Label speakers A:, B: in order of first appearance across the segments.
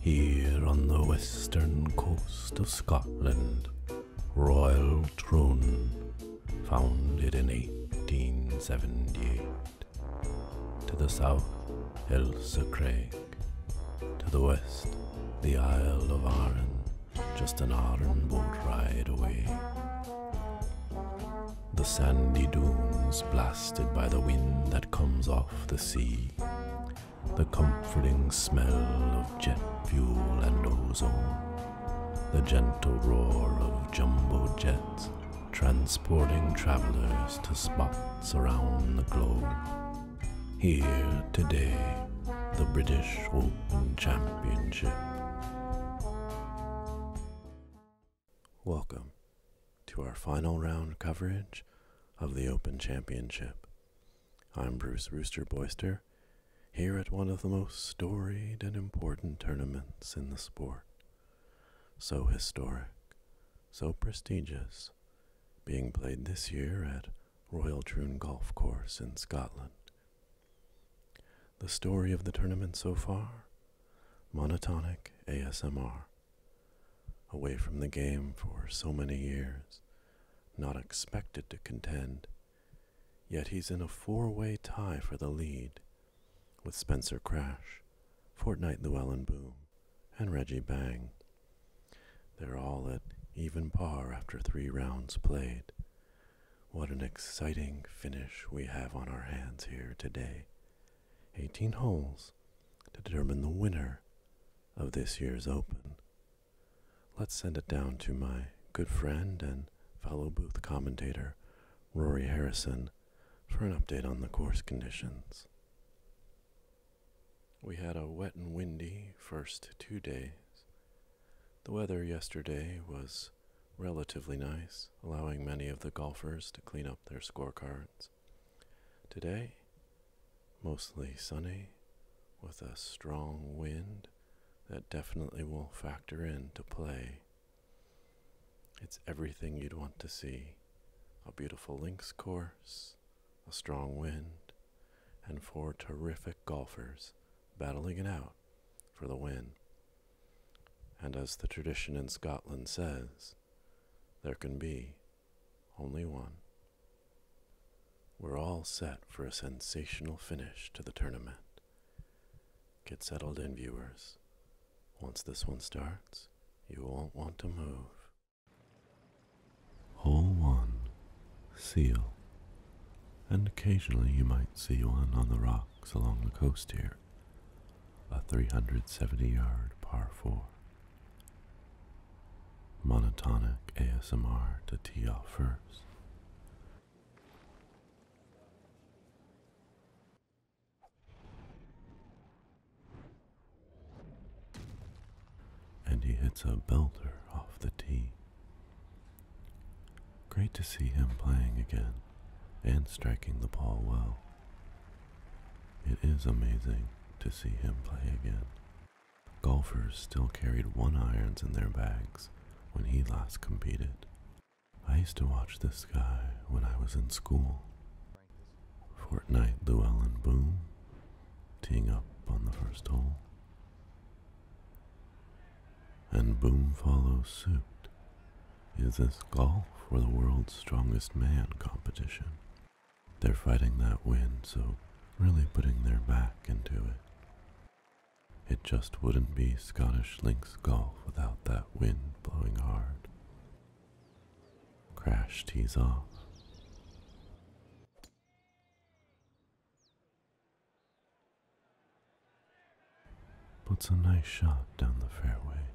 A: Here on the western coast of Scotland, Royal Troon, founded in 1878. To the south, Elsa Craig. To the west, the Isle of Arran, just an Arran boat ride away the sandy dunes blasted by the wind that comes off the sea, the comforting smell of jet fuel and ozone, the gentle roar of jumbo jets transporting travelers to spots around the globe. Here today, the British Open Championship Welcome to our final round coverage of the Open Championship. I'm Bruce Rooster Boyster, here at one of the most storied and important tournaments in the sport. So historic, so prestigious, being played this year at Royal Troon Golf Course in Scotland. The story of the tournament so far? Monotonic ASMR Away from the game for so many years, not expected to contend, yet he's in a four way tie for the lead with Spencer Crash, Fortnight Llewellyn Boom, and Reggie Bang. They're all at even par after three rounds played. What an exciting finish we have on our hands here today. 18 holes to determine the winner of this year's Open. Let's send it down to my good friend and fellow booth commentator, Rory Harrison, for an update on the course conditions. We had a wet and windy first two days. The weather yesterday was relatively nice, allowing many of the golfers to clean up their scorecards. Today, mostly sunny with a strong wind that definitely will factor in to play. It's everything you'd want to see a beautiful links course, a strong wind, and four terrific golfers battling it out for the win. And as the tradition in Scotland says, there can be only one. We're all set for a sensational finish to the tournament. Get settled in, viewers. Once this one starts, you won't want to move. Hole 1 Seal. And occasionally you might see one on the rocks along the coast here. A 370 yard par 4 monotonic ASMR to tee off first. And he hits a belter off the tee. Great to see him playing again and striking the ball well. It is amazing to see him play again. Golfers still carried one irons in their bags when he last competed. I used to watch this guy when I was in school. Fortnite Llewellyn Boom, teeing up on the first hole. And Boom follows suit. Is this golf for the world's strongest man competition? They're fighting that wind, so really putting their back into it. It just wouldn't be Scottish links golf without that wind blowing hard. Crash tees off. Puts a nice shot down the fairway,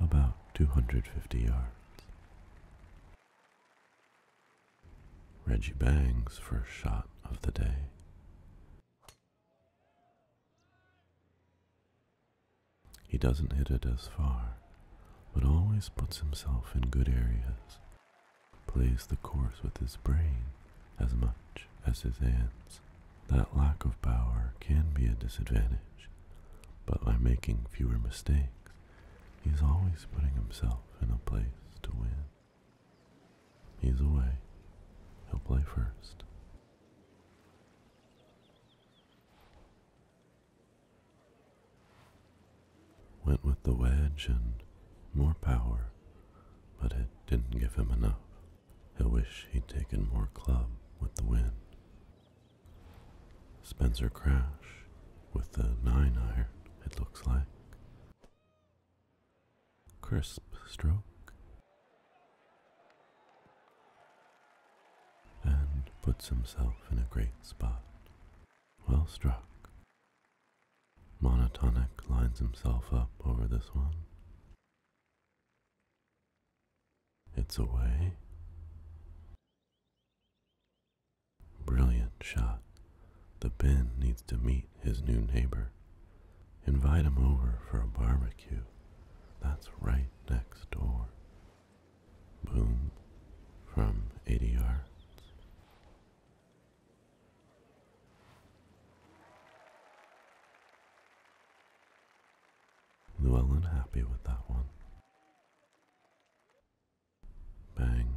A: about 250 yards. Reggie Bangs' first shot of the day. He doesn't hit it as far, but always puts himself in good areas, plays the course with his brain as much as his hands. That lack of power can be a disadvantage but by making fewer mistakes, he's always putting himself in a place to win. He's away. He'll play first. Went with the wedge and more power, but it didn't give him enough. He'll wish he'd taken more club with the wind. Spencer Crash with the 9 iron, it looks like. Crisp stroke. And puts himself in a great spot. Well struck. Monotonic lines himself up over this one. It's away. Brilliant shot. The Ben needs to meet his new neighbor. Invite him over for a barbecue. That's right next door. Boom from 80 yards. Llewellyn happy with that one. Bang,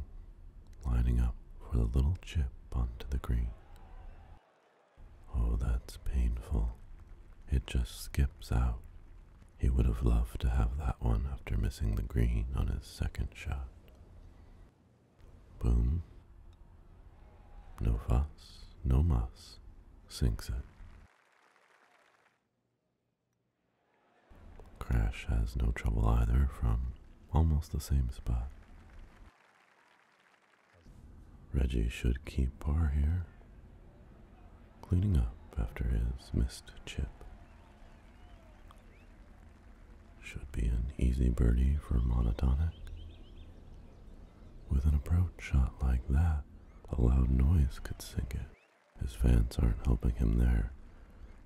A: lining up for the little chip onto the green. Oh, that's painful. It just skips out. He would have loved to have that one after missing the green on his second shot. Boom. No fuss, no muss. Sinks it. Crash has no trouble either from almost the same spot. Reggie should keep par here, cleaning up after his missed chip. Should be an easy birdie for monotonic. With an approach shot like that, a loud noise could sink it. His fans aren't helping him there.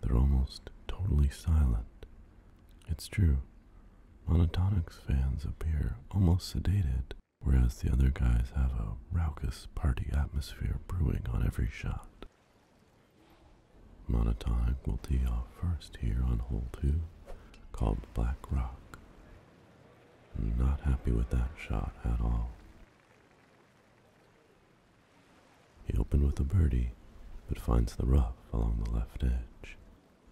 A: They're almost totally silent. It's true. Monotonics fans appear almost sedated, whereas the other guys have a raucous party atmosphere brewing on every shot. Monotonic will tee off first here on hole two, called Black Rock. I'm not happy with that shot at all. He opened with a birdie, but finds the rough along the left edge.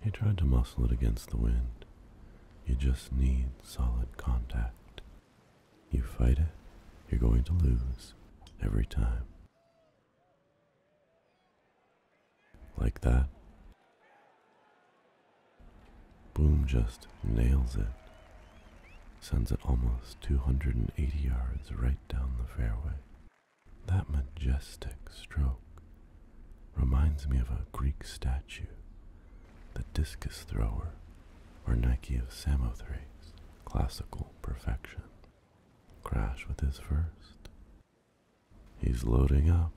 A: He tried to muscle it against the wind. You just need solid contact. You fight it, you're going to lose every time. Like that. Boom just nails it sends it almost 280 yards right down the fairway. That majestic stroke reminds me of a Greek statue, the discus thrower, or Nike of Samothrace, classical perfection. Crash with his first. He's loading up.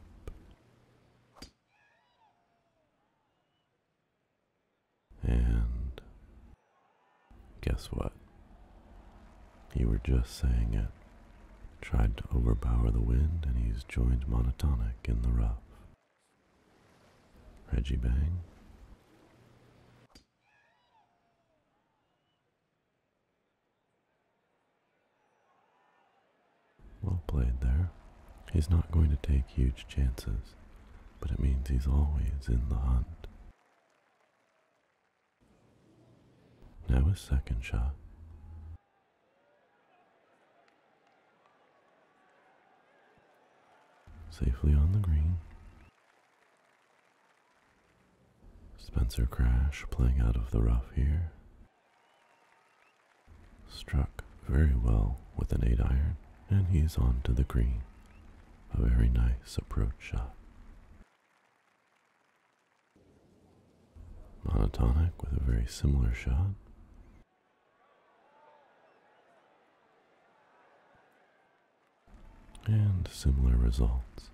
A: And guess what? You were just saying it. Tried to overpower the wind, and he's joined monotonic in the rough. Reggie Bang. Well played there. He's not going to take huge chances but it means he's always in the hunt. Now a second shot. Safely on the green. Spencer Crash playing out of the rough here. Struck very well with an 8 iron, and he's on to the green a very nice approach shot. Monotonic with a very similar shot. And similar results,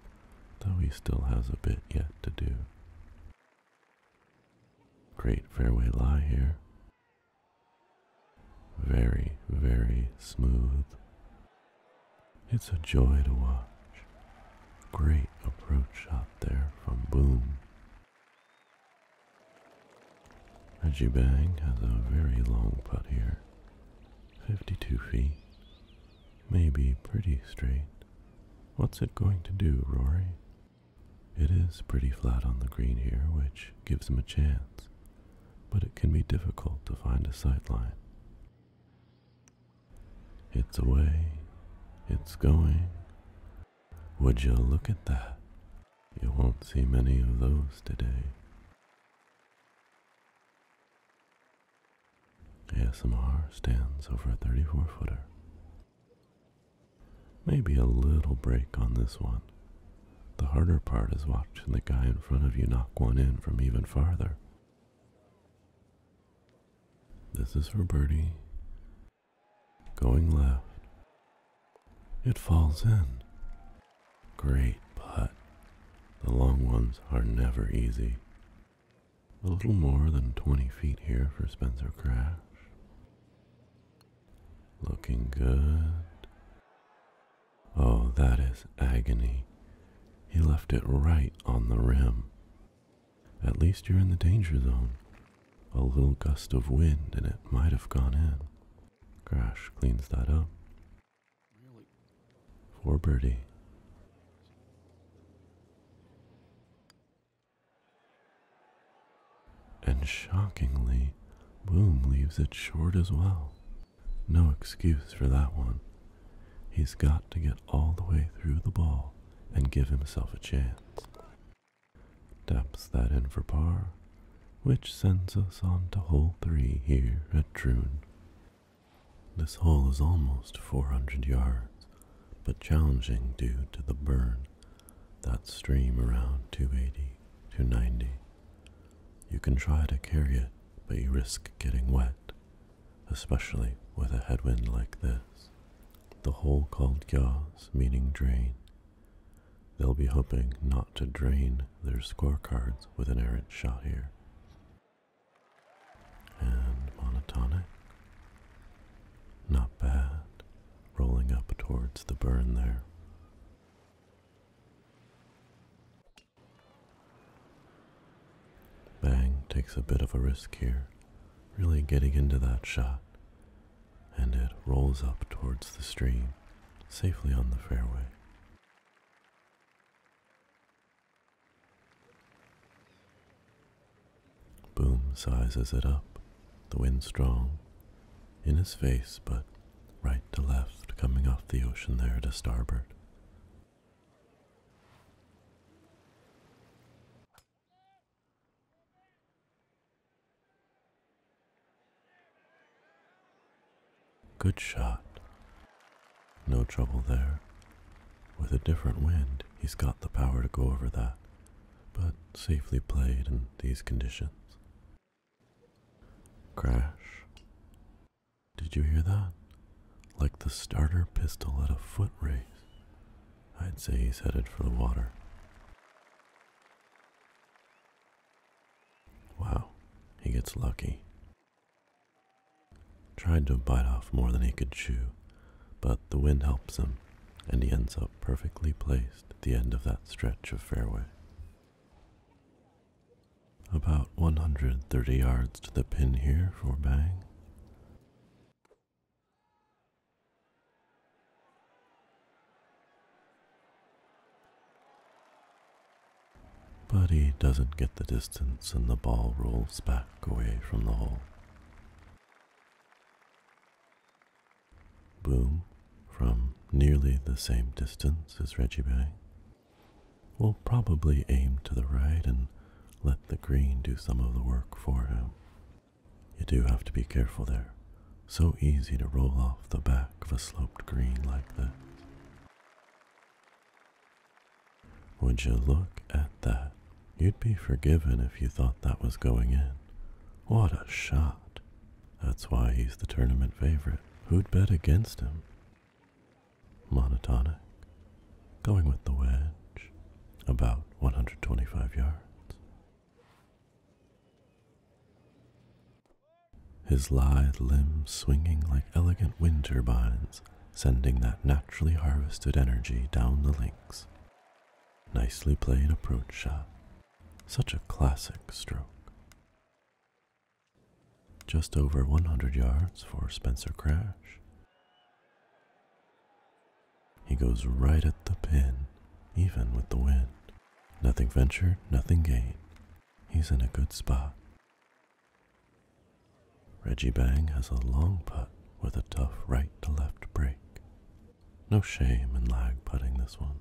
A: though he still has a bit yet to do. Great fairway lie here. Very, very smooth. It's a joy to watch. Great approach shot there from Boom. Reggie has a very long putt here. 52 feet. Maybe pretty straight. What's it going to do, Rory? It is pretty flat on the green here, which gives him a chance but it can be difficult to find a sightline. It's away, it's going. Would you look at that? You won't see many of those today. ASMR stands over a 34 footer. Maybe a little break on this one the harder part is watching the guy in front of you knock one in from even farther. This is for birdie. Going left. It falls in. Great putt. The long ones are never easy. A little more than 20 feet here for Spencer Crash. Looking good. Oh, that is agony. He left it right on the rim. At least you're in the danger zone. A little gust of wind and it might have gone in. Crash cleans that up. Really? For birdie. And shockingly, Boom leaves it short as well. No excuse for that one. He's got to get all the way through the ball and give himself a chance. Taps that in for par, which sends us on to hole 3 here at Troon. This hole is almost 400 yards, but challenging due to the burn, that stream around 280 to 90. You can try to carry it, but you risk getting wet, especially with a headwind like this. The hole called Gyas, meaning drain. They'll be hoping not to drain their scorecards with an errant shot here. And monotonic. Not bad, rolling up towards the burn there. Bang takes a bit of a risk here, really getting into that shot, and it rolls up towards the stream, safely on the fairway. Boom sizes it up, the wind strong, in his face, but right to left, coming off the ocean there to starboard. Good shot. No trouble there. With a different wind, he's got the power to go over that, but safely played in these conditions. Crash. Did you hear that? Like the starter pistol at a foot race. I'd say he's headed for the water. Wow, he gets lucky. Tried to bite off more than he could chew, but the wind helps him, and he ends up perfectly placed at the end of that stretch of fairway. About 130 yards to the pin here for bang. But he doesn't get the distance and the ball rolls back away from the hole. Boom from nearly the same distance as Reggie Bang. We'll probably aim to the right and let the green do some of the work for him. You do have to be careful there. So easy to roll off the back of a sloped green like this. Would you look at that? You'd be forgiven if you thought that was going in. What a shot! That's why he's the tournament favorite. Who'd bet against him? monotonic, going with the wedge, about 125 yards. His lithe limbs swinging like elegant wind turbines, sending that naturally harvested energy down the links. Nicely played approach shot. Such a classic stroke. Just over 100 yards for Spencer Crash. He goes right at the pin, even with the wind. Nothing ventured, nothing gained. He's in a good spot. Reggie Bang has a long putt with a tough right to left break. No shame in lag putting this one.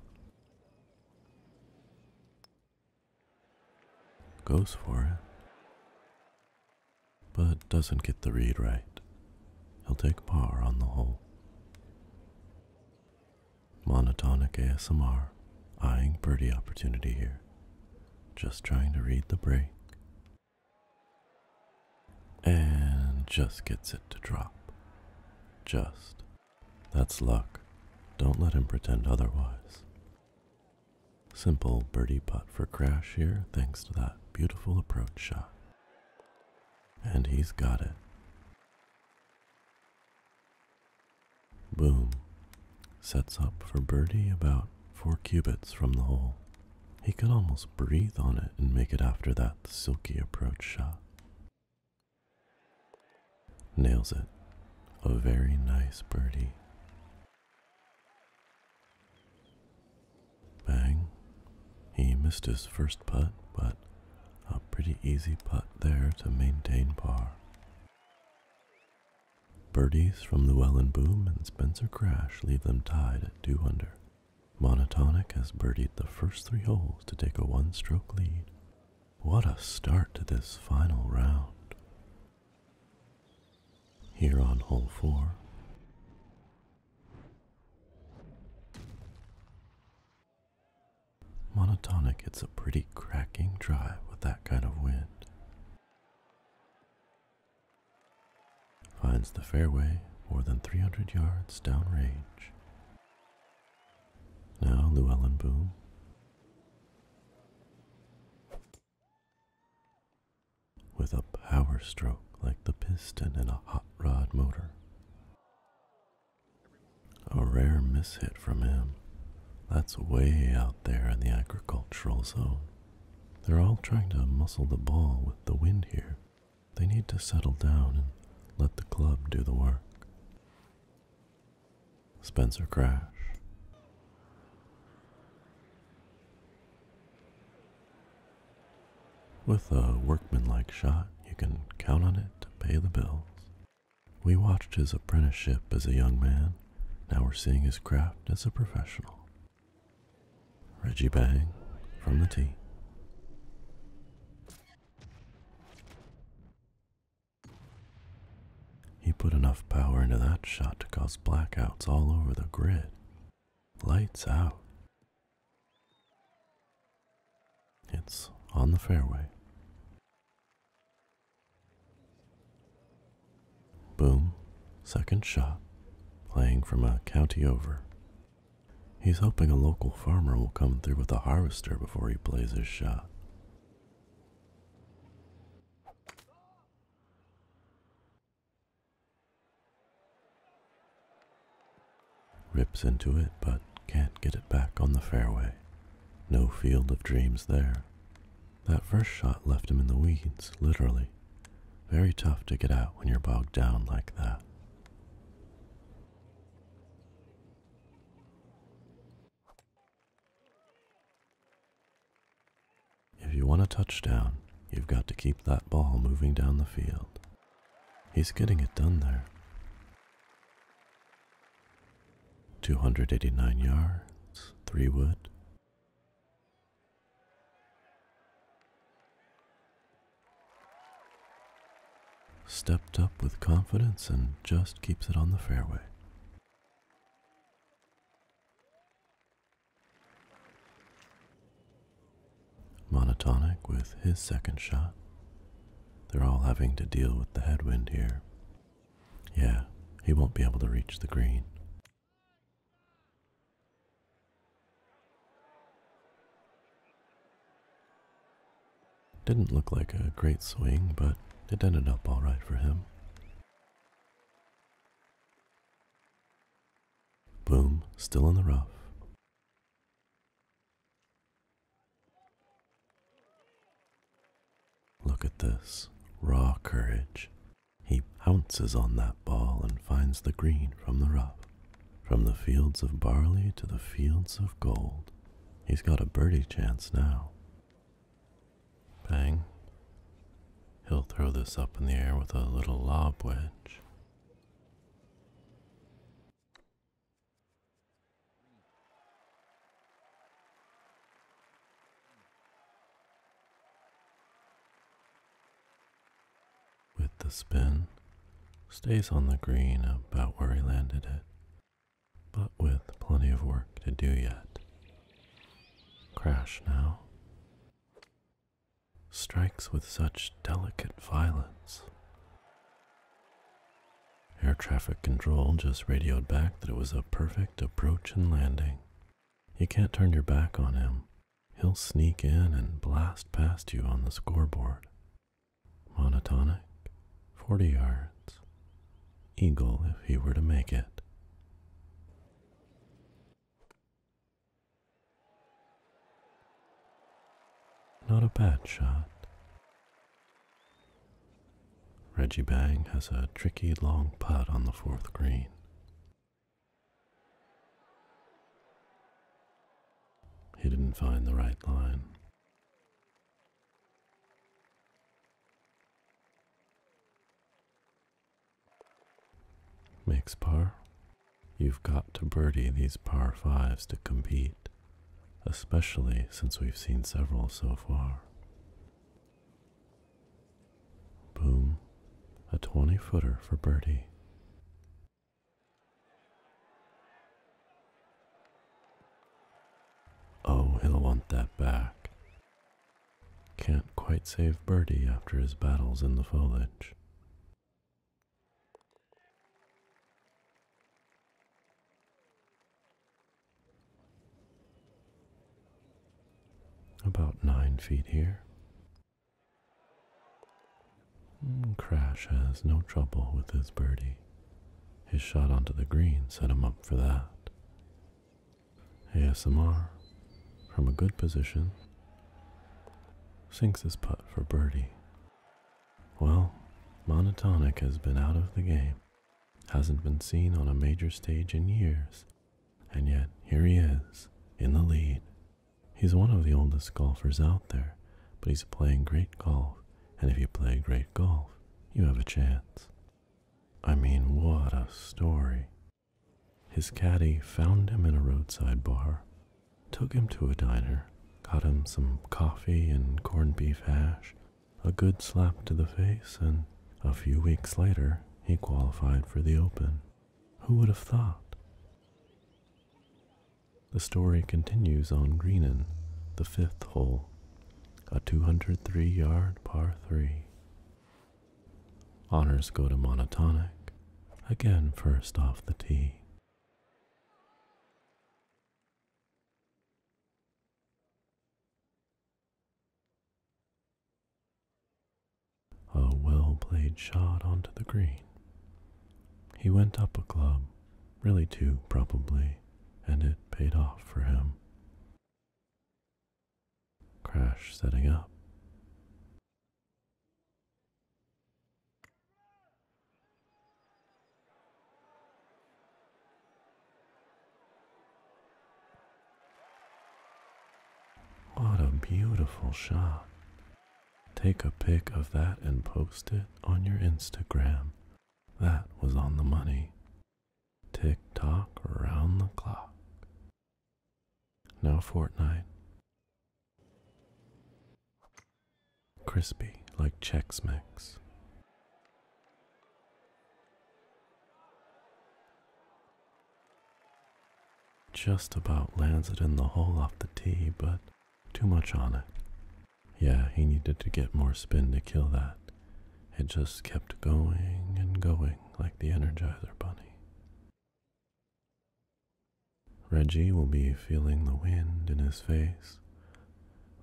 A: Goes for it, but doesn't get the read right. He'll take par on the whole. Monotonic ASMR, eyeing birdie opportunity here. Just trying to read the break. And just gets it to drop. Just that's luck. Don't let him pretend otherwise. Simple birdie putt for Crash here, thanks to that beautiful approach shot. And he's got it. Boom. Sets up for birdie about four cubits from the hole. He could almost breathe on it and make it after that silky approach shot. Nails it. A very nice birdie. Bang. He missed his first putt, but a pretty easy putt there to maintain par. Birdies from Llewellyn Boom and Spencer Crash leave them tied at 2 under. Monotonic has birdied the first three holes to take a one stroke lead, what a start to this final round. Here on hole four. Monotonic It's a pretty cracking drive with that kind of wind. Finds the fairway more than 300 yards down range. Now Llewellyn Boom with a power stroke like the piston in a hot rod motor. A rare mishit from him. That's way out there in the agricultural zone. They're all trying to muscle the ball with the wind here. They need to settle down and let the club do the work. Spencer Crash. With a workmanlike shot, you can count on it to pay the bills. We watched his apprenticeship as a young man, now we're seeing his craft as a professional. Reggie Bang from the tee. He put enough power into that shot to cause blackouts all over the grid. Lights out. It's on the fairway. Boom, second shot, playing from a county over. He's hoping a local farmer will come through with a harvester before he plays his shot. Rips into it, but can't get it back on the fairway. No field of dreams there. That first shot left him in the weeds, literally. Very tough to get out when you're bogged down like that. If you want a touchdown, you've got to keep that ball moving down the field. He's getting it done there. 289 yards, 3 wood. Stepped up with confidence and just keeps it on the fairway. Monotonic with his second shot. They're all having to deal with the headwind here. Yeah, he won't be able to reach the green. Didn't look like a great swing, but it ended up alright for him. Boom, still in the rough. Look at this raw courage. He pounces on that ball and finds the green from the rough. From the fields of barley to the fields of gold. He's got a birdie chance now. Bang. He'll throw this up in the air with a little lob wedge. With the spin, stays on the green about where he landed it, but with plenty of work to do yet. Crash now strikes with such delicate violence. Air traffic control just radioed back that it was a perfect approach and landing. You can't turn your back on him. He'll sneak in and blast past you on the scoreboard. Monotonic, 40 yards eagle if he were to make it. Not a bad shot. Reggie Bang has a tricky long putt on the fourth green. He didn't find the right line. Makes par. You've got to birdie these par fives to compete, especially since we've seen several so far. Boom. A 20 footer for birdie. Oh, he'll want that back. Can't quite save Birdie after his battles in the foliage. About nine feet here. Hmm, Crash has no trouble with his birdie. His shot onto the green set him up for that. ASMR, from a good position, sinks his putt for birdie. Well, Monotonic has been out of the game, hasn't been seen on a major stage in years, and yet here he is, in the lead. He's one of the oldest golfers out there, but he's playing great golf, and if you play great golf, you have a chance. I mean, what a story. His caddy found him in a roadside bar, took him to a diner, got him some coffee and corned beef hash, a good slap to the face, and a few weeks later, he qualified for the Open. Who would have thought? The story continues on Greenan, the fifth hole, a 203 yard par 3. Honors go to monotonic, again first off the tee. A well played shot onto the green. He went up a club, really two probably, and it paid off for him. Crash setting up. What a beautiful shot. Take a pic of that and post it on your Instagram. That was on the money. Tick tock around the clock. Now fortnight. Crispy like Chex Mix. Just about lands it in the hole off the tee, but too much on it. Yeah, he needed to get more spin to kill that. It just kept going and going like the Energizer Bunny. Reggie will be feeling the wind in his face,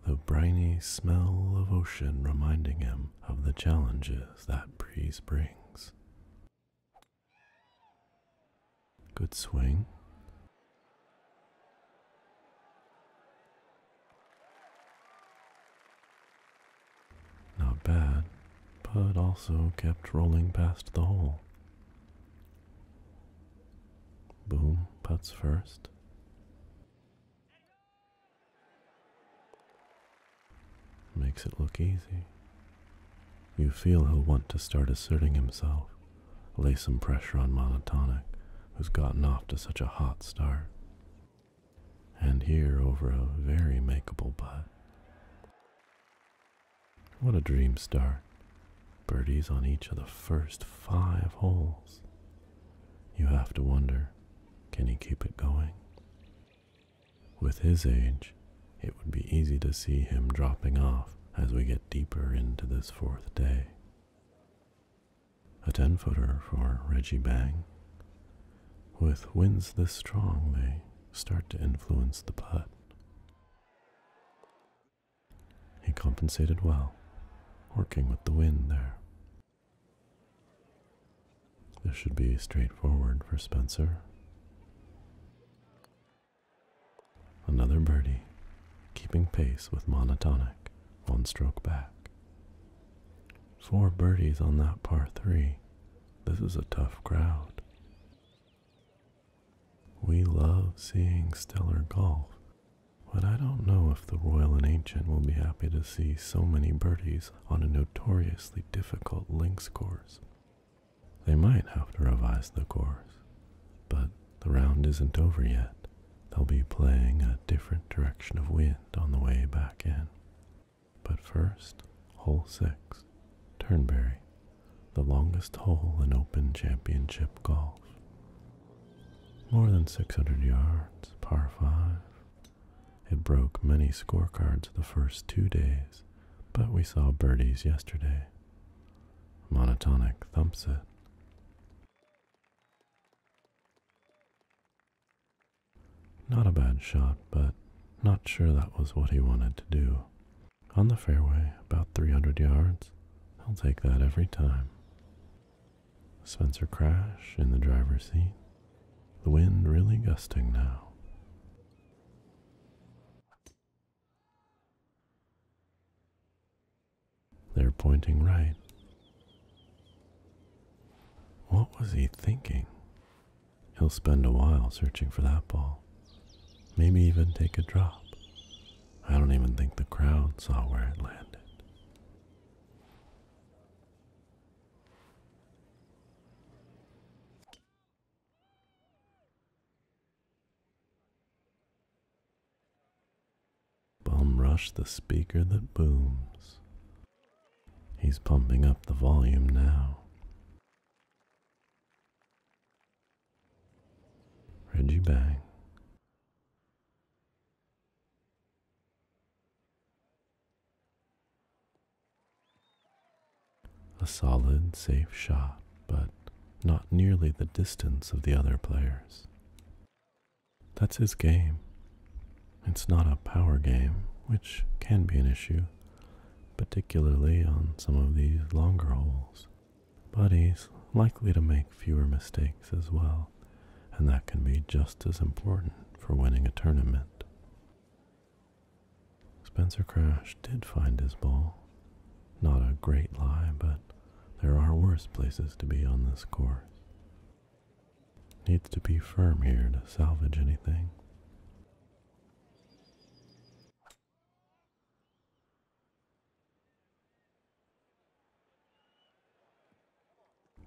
A: the briny smell of ocean reminding him of the challenges that breeze brings. Good swing. Not bad, but also kept rolling past the hole. Boom Putts first. Makes it look easy. You feel he'll want to start asserting himself, lay some pressure on Monotonic, who's gotten off to such a hot start and here over a very makeable putt. What a dream start. Birdies on each of the first five holes. You have to wonder can he keep it going? With his age, it would be easy to see him dropping off as we get deeper into this fourth day. A 10 footer for Reggie Bang, with winds this strong, they start to influence the putt. He compensated well, working with the wind there. This should be straightforward for Spencer. Another birdie, keeping pace with monotonic, one stroke back. Four birdies on that par three this is a tough crowd. We love seeing stellar golf, but I don't know if the Royal and Ancient will be happy to see so many birdies on a notoriously difficult links course. They might have to revise the course, but the round isn't over yet. They'll be playing a different direction of wind on the way back in. But first, hole 6, Turnberry, the longest hole in Open Championship golf. More than 600 yards, par 5. It broke many scorecards the first two days, but we saw birdies yesterday. Monotonic thumps it. Not a bad shot, but not sure that was what he wanted to do. On the fairway, about 300 yards, I'll take that every time. Spencer Crash in the driver's seat, the wind really gusting now. They're pointing right. What was he thinking? He'll spend a while searching for that ball, maybe even take a drop. I don't even think the crowd saw where it landed. Bum rush the speaker that booms. He's pumping up the volume now. Reggie Bang. A solid, safe shot, but not nearly the distance of the other players. That's his game. It's not a power game, which can be an issue, particularly on some of these longer holes. But he's likely to make fewer mistakes as well, and that can be just as important for winning a tournament. Spencer Crash did find his ball. Not a great lie, but there are worse places to be on this course. Needs to be firm here to salvage anything.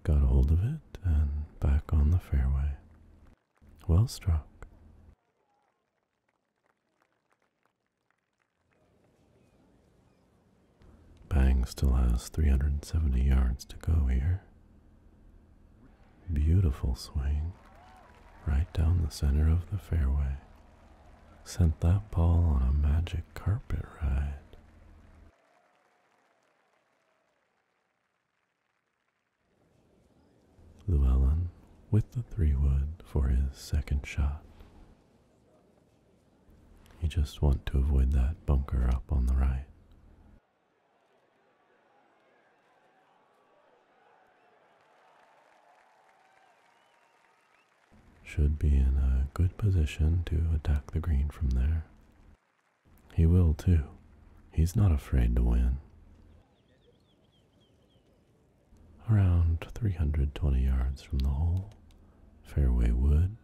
A: Got a hold of it and back on the fairway. Well struck. Bang still has 370 yards to go here. Beautiful swing, right down the center of the fairway. Sent that ball on a magic carpet ride. Llewellyn with the three wood for his second shot. You just want to avoid that bunker up on the right. Should be in a good position to attack the green from there. He will too. He's not afraid to win. Around 320 yards from the hole, fairway wood.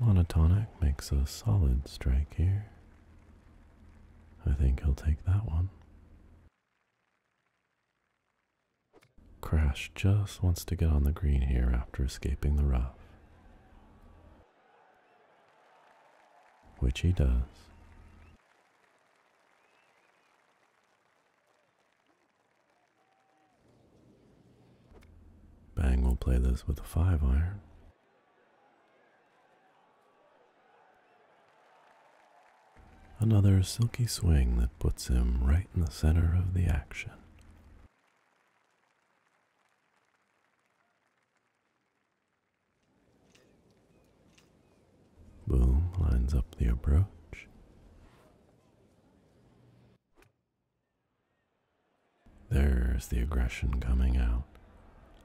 A: Monotonic makes a solid strike here. I think he'll take that one. Crash just wants to get on the green here after escaping the rough. Which he does. Bang will play this with a five iron. Another silky swing that puts him right in the center of the action. Boom lines up the approach. There's the aggression coming out.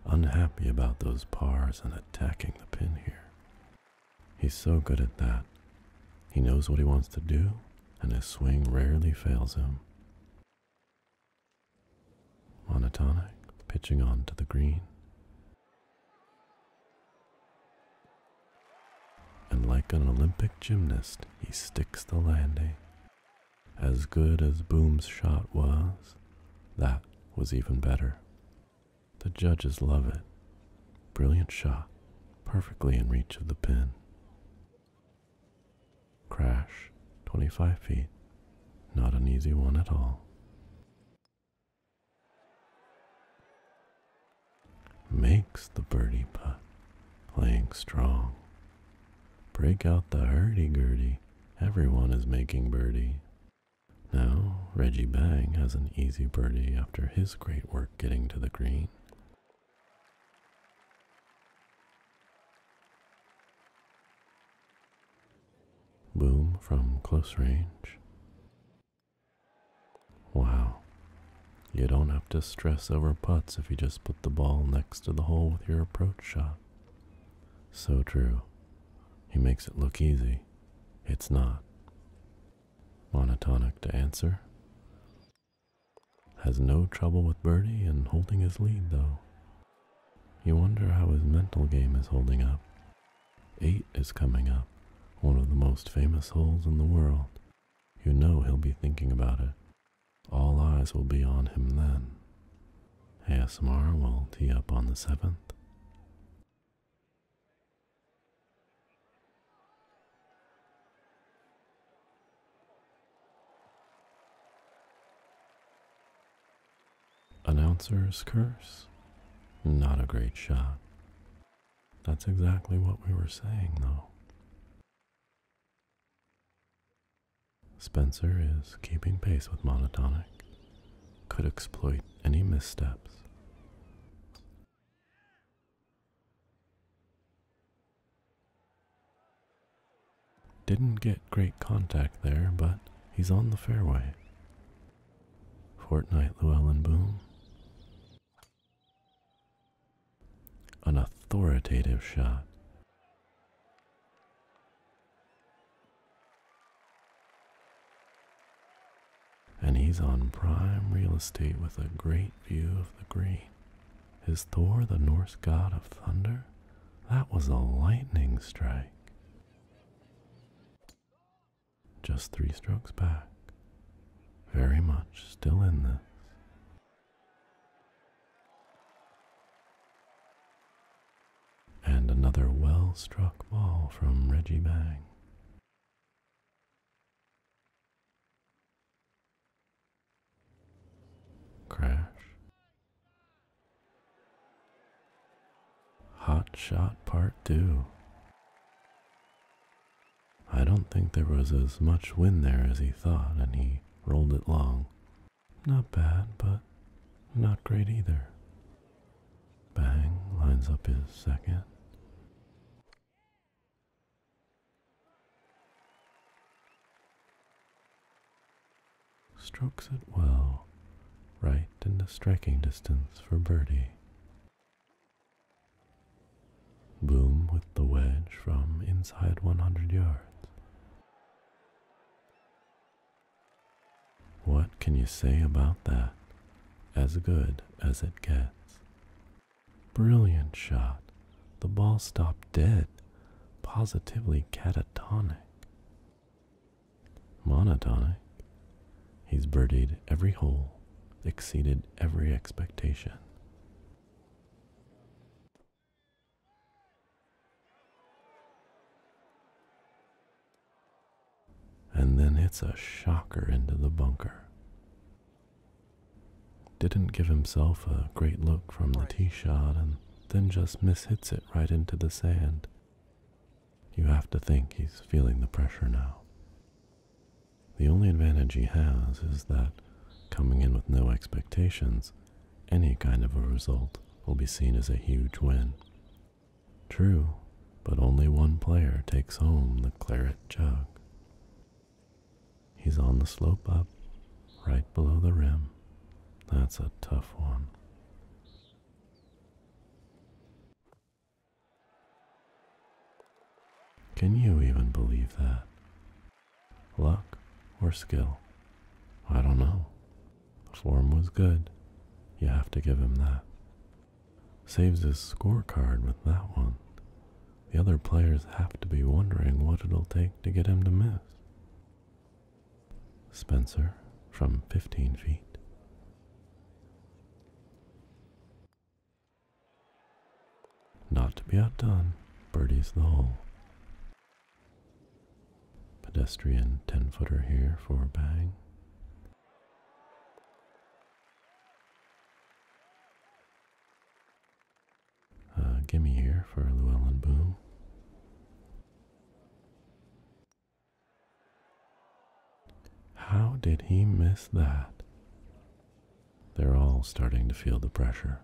A: Unhappy about those pars and attacking the pin here. He's so good at that. He knows what he wants to do, and his swing rarely fails him. Monotonic, pitching on to the green. And like an Olympic gymnast, he sticks the landing. As good as Boom's shot was, that was even better. The judges love it. Brilliant shot, perfectly in reach of the pin. Crash, 25 feet. Not an easy one at all makes the birdie putt, playing strong. Break out the hurdy-gurdy, everyone is making birdie. Now, Reggie Bang has an easy birdie after his great work getting to the green. Boom from close range. Wow. You don't have to stress over putts if you just put the ball next to the hole with your approach shot. So true. He makes it look easy. It's not. Monotonic to answer. Has no trouble with birdie and holding his lead, though. You wonder how his mental game is holding up. Eight is coming up, one of the most famous holes in the world. You know he'll be thinking about it all eyes will be on him then. ASMR will tee up on the 7th. Announcer's curse? Not a great shot. That's exactly what we were saying, though. Spencer is keeping pace with Monotonic, could exploit any missteps. Didn't get great contact there, but he's on the fairway. Fortnight, Llewellyn Boom an authoritative shot. And he's on prime real estate with a great view of the green. Is Thor the Norse god of thunder? That was a lightning strike. Just three strokes back. Very much still in this. And another well struck ball from Reggie Bang. Crash. Hot Shot Part 2. I don't think there was as much wind there as he thought, and he rolled it long. Not bad, but not great either. Bang lines up his second. Strokes it well, right into striking distance for birdie. Boom with the wedge from inside 100 yards. What can you say about that? As good as it gets. Brilliant shot. The ball stopped dead, positively catatonic. Monotonic. He's birdied every hole, exceeded every expectation. And then it's a shocker into the bunker. Didn't give himself a great look from the tee shot and then just mishits it right into the sand. You have to think he's feeling the pressure now. The only advantage he has is that coming in with no expectations, any kind of a result will be seen as a huge win. True, but only one player takes home the claret jug. He's on the slope up, right below the rim. That's a tough one. Can you even believe that? Luck or skill? I don't know. The Form was good. You have to give him that. Saves his scorecard with that one. The other players have to be wondering what it'll take to get him to miss. Spencer from 15 feet. Not to be outdone, birdies the hole. Pedestrian 10 footer here for a bang. Uh, gimme here for Llewellyn Boom. How did he miss that? They're all starting to feel the pressure.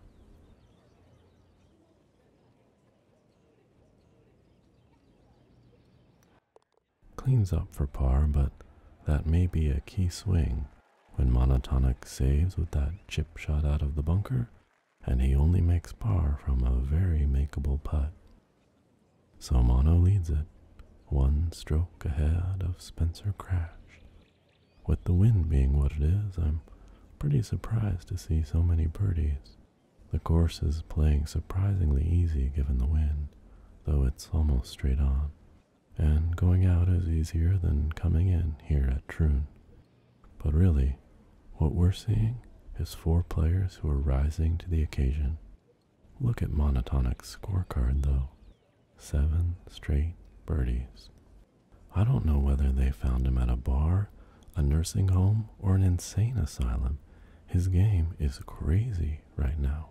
A: Cleans up for par, but that may be a key swing when Monotonic saves with that chip shot out of the bunker, and he only makes par from a very makeable putt. So Mono leads it, one stroke ahead of Spencer Crash, with the wind being what it is, I'm pretty surprised to see so many birdies. The course is playing surprisingly easy given the wind, though it's almost straight on, and going out is easier than coming in here at Troon. But really, what we're seeing is four players who are rising to the occasion. Look at Monotonic's scorecard, though. Seven straight birdies, I don't know whether they found him at a bar, a nursing home, or an insane asylum. His game is crazy right now.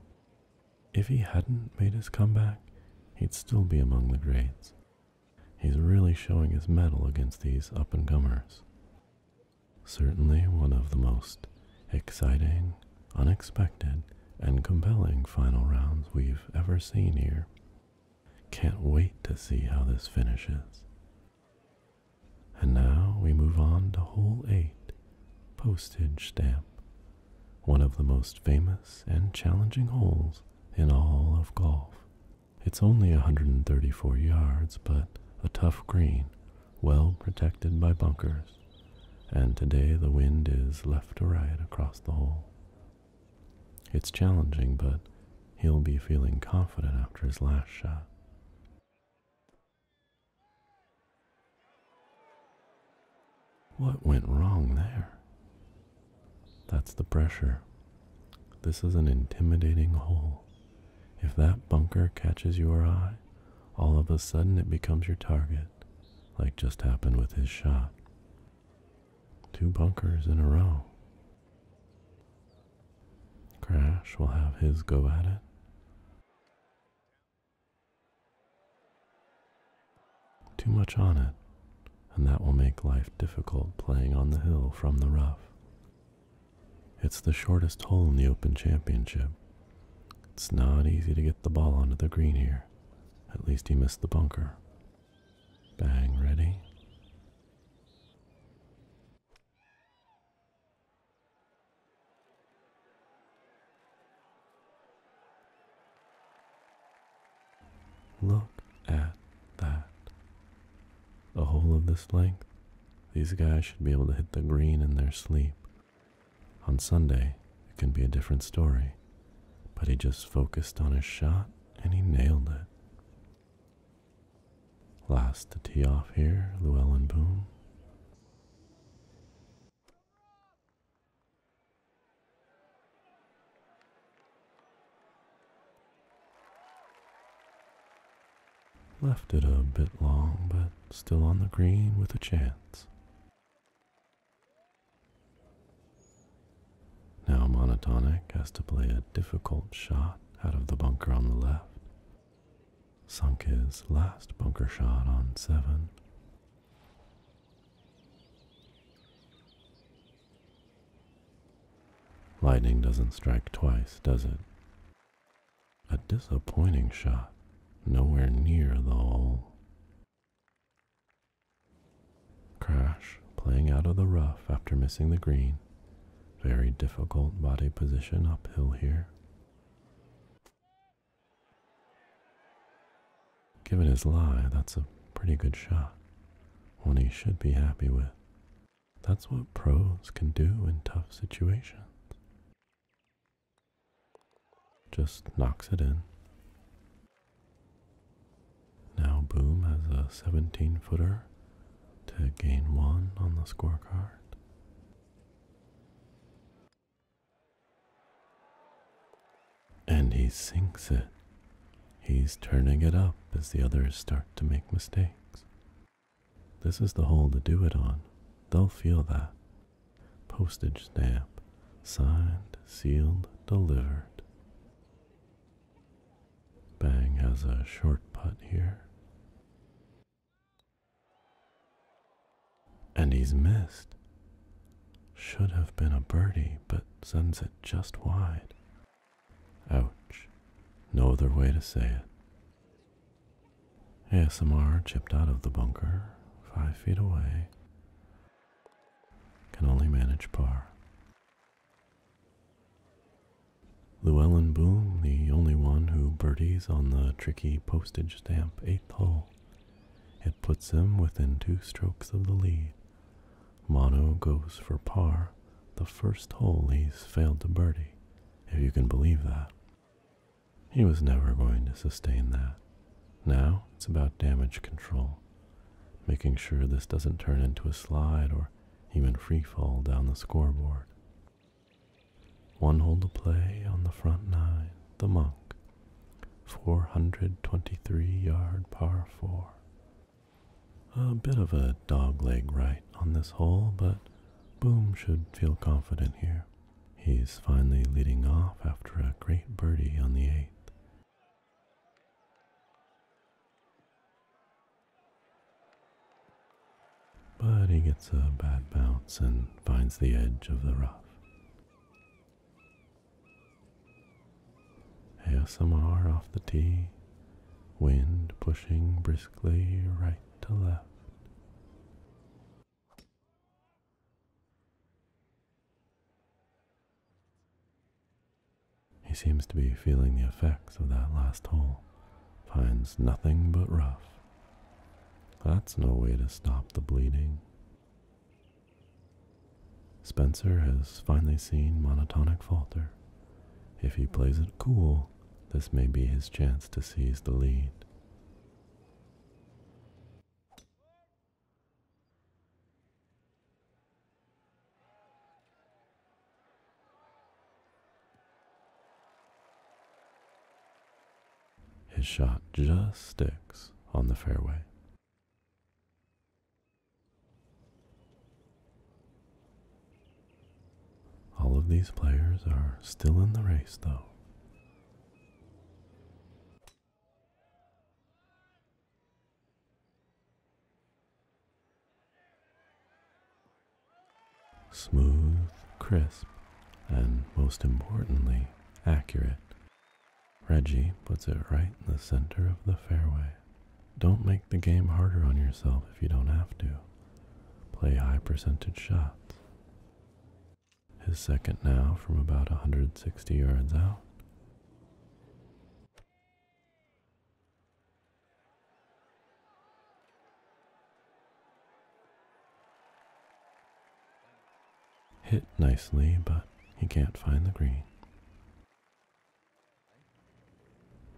A: If he hadn't made his comeback, he'd still be among the greats. He's really showing his mettle against these up and comers. Certainly one of the most exciting, unexpected, and compelling final rounds we've ever seen here. Can't wait to see how this finishes. And now we move on to hole 8, postage stamp, one of the most famous and challenging holes in all of golf. It's only 134 yards, but a tough green, well protected by bunkers, and today the wind is left to right across the hole. It's challenging, but he'll be feeling confident after his last shot. What went wrong there? That's the pressure. This is an intimidating hole. If that bunker catches your eye, all of a sudden it becomes your target, like just happened with his shot. Two bunkers in a row. Crash will have his go at it. Too much on it, and that will make life difficult playing on the hill from the rough. It's the shortest hole in the Open Championship. It's not easy to get the ball onto the green here. At least he missed the bunker. Bang ready. Look at that. The whole of this length, these guys should be able to hit the green in their sleep. On Sunday, it can be a different story, but he just focused on his shot and he nailed it. Last to tee off here, Llewellyn Boom. Left it a bit long, but still on the green with a chance. Now Monotonic has to play a difficult shot out of the bunker on the left. Sunk his last bunker shot on 7. Lightning doesn't strike twice, does it? A disappointing shot, nowhere near the hole. Crash, playing out of the rough after missing the green. Very difficult body position uphill here. Given his lie, that's a pretty good shot. One he should be happy with. That's what pros can do in tough situations. Just knocks it in. Now Boom has a 17 footer to gain one on the scorecard. And he sinks it. He's turning it up as the others start to make mistakes. This is the hole to do it on. They'll feel that. Postage stamp. Signed, sealed, delivered. Bang has a short putt here. And he's missed. Should have been a birdie, but sends it just wide. Ouch. No other way to say it. ASMR chipped out of the bunker, five feet away. Can only manage par. Llewellyn Boom, the only one who birdies on the tricky postage stamp eighth hole. It puts him within two strokes of the lead. Mono goes for par, the first hole he's failed to birdie, if you can believe that. He was never going to sustain that. Now it's about damage control, making sure this doesn't turn into a slide or even went free fall down the scoreboard. One hole to play on the front nine, the monk, 423 yard par 4. A bit of a dogleg right on this hole, but Boom should feel confident here. He's finally leading off after a great birdie on the eighth. But he gets a bad bounce and finds the edge of the rough. ASMR off the tee, wind pushing briskly right to left. He seems to be feeling the effects of that last hole, finds nothing but rough. That's no way to stop the bleeding. Spencer has finally seen monotonic falter. If he plays it cool, this may be his chance to seize the lead. His shot just sticks on the fairway. All of these players are still in the race, though. Smooth, crisp, and most importantly, accurate. Reggie puts it right in the center of the fairway. Don't make the game harder on yourself if you don't have to. Play high percentage shots. His second now from about 160 yards out. Hit nicely, but he can't find the green.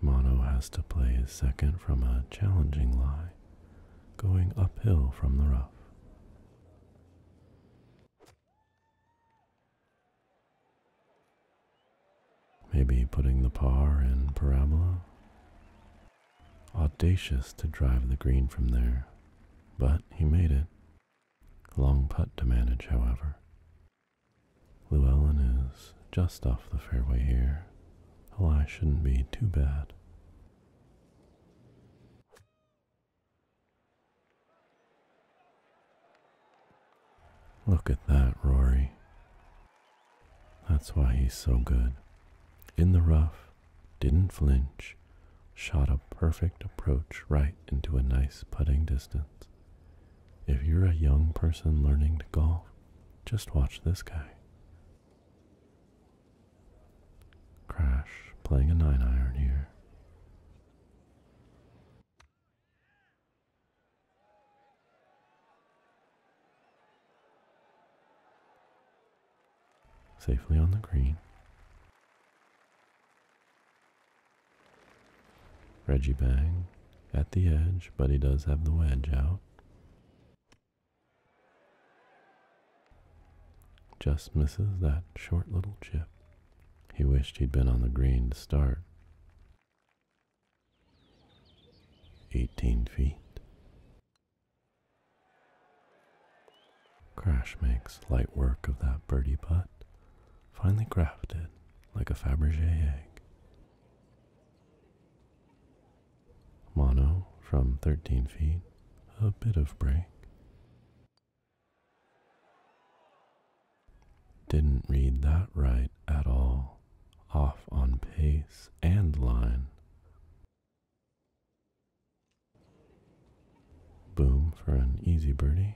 A: Mono has to play his second from a challenging lie, going uphill from the rough. Maybe putting the par in parabola. Audacious to drive the green from there, but he made it. Long putt to manage, however. Llewellyn is just off the fairway here. A lie shouldn't be too bad. Look at that, Rory. That's why he's so good. In the rough, didn't flinch, shot a perfect approach right into a nice putting distance. If you're a young person learning to golf, just watch this guy. Crash playing a 9 iron here. Safely on the green. Reggie Bang at the edge, but he does have the wedge out. Just misses that short little chip. He wished he'd been on the green to start. 18 feet. Crash makes light work of that birdie putt, finely crafted like a Fabergé egg. Mono from 13 feet, a bit of break. Didn't read that right at all. Off on pace and line. Boom for an easy birdie.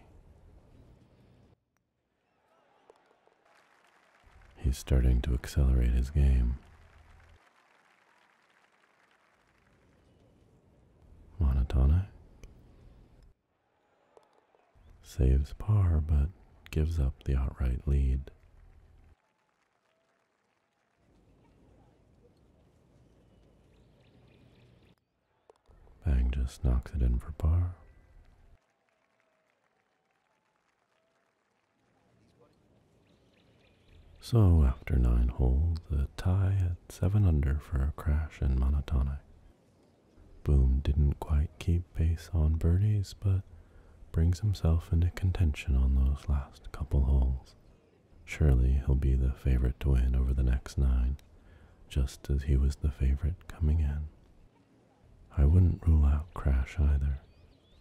A: He's starting to accelerate his game. Monotonic. Saves par but gives up the outright lead. Bang just knocks it in for par. So after nine holes, a tie at seven under for a crash in monotonic. Boom didn't quite keep pace on birdies, but brings himself into contention on those last couple holes. Surely he'll be the favorite to win over the next nine, just as he was the favorite coming in. I wouldn't rule out Crash either.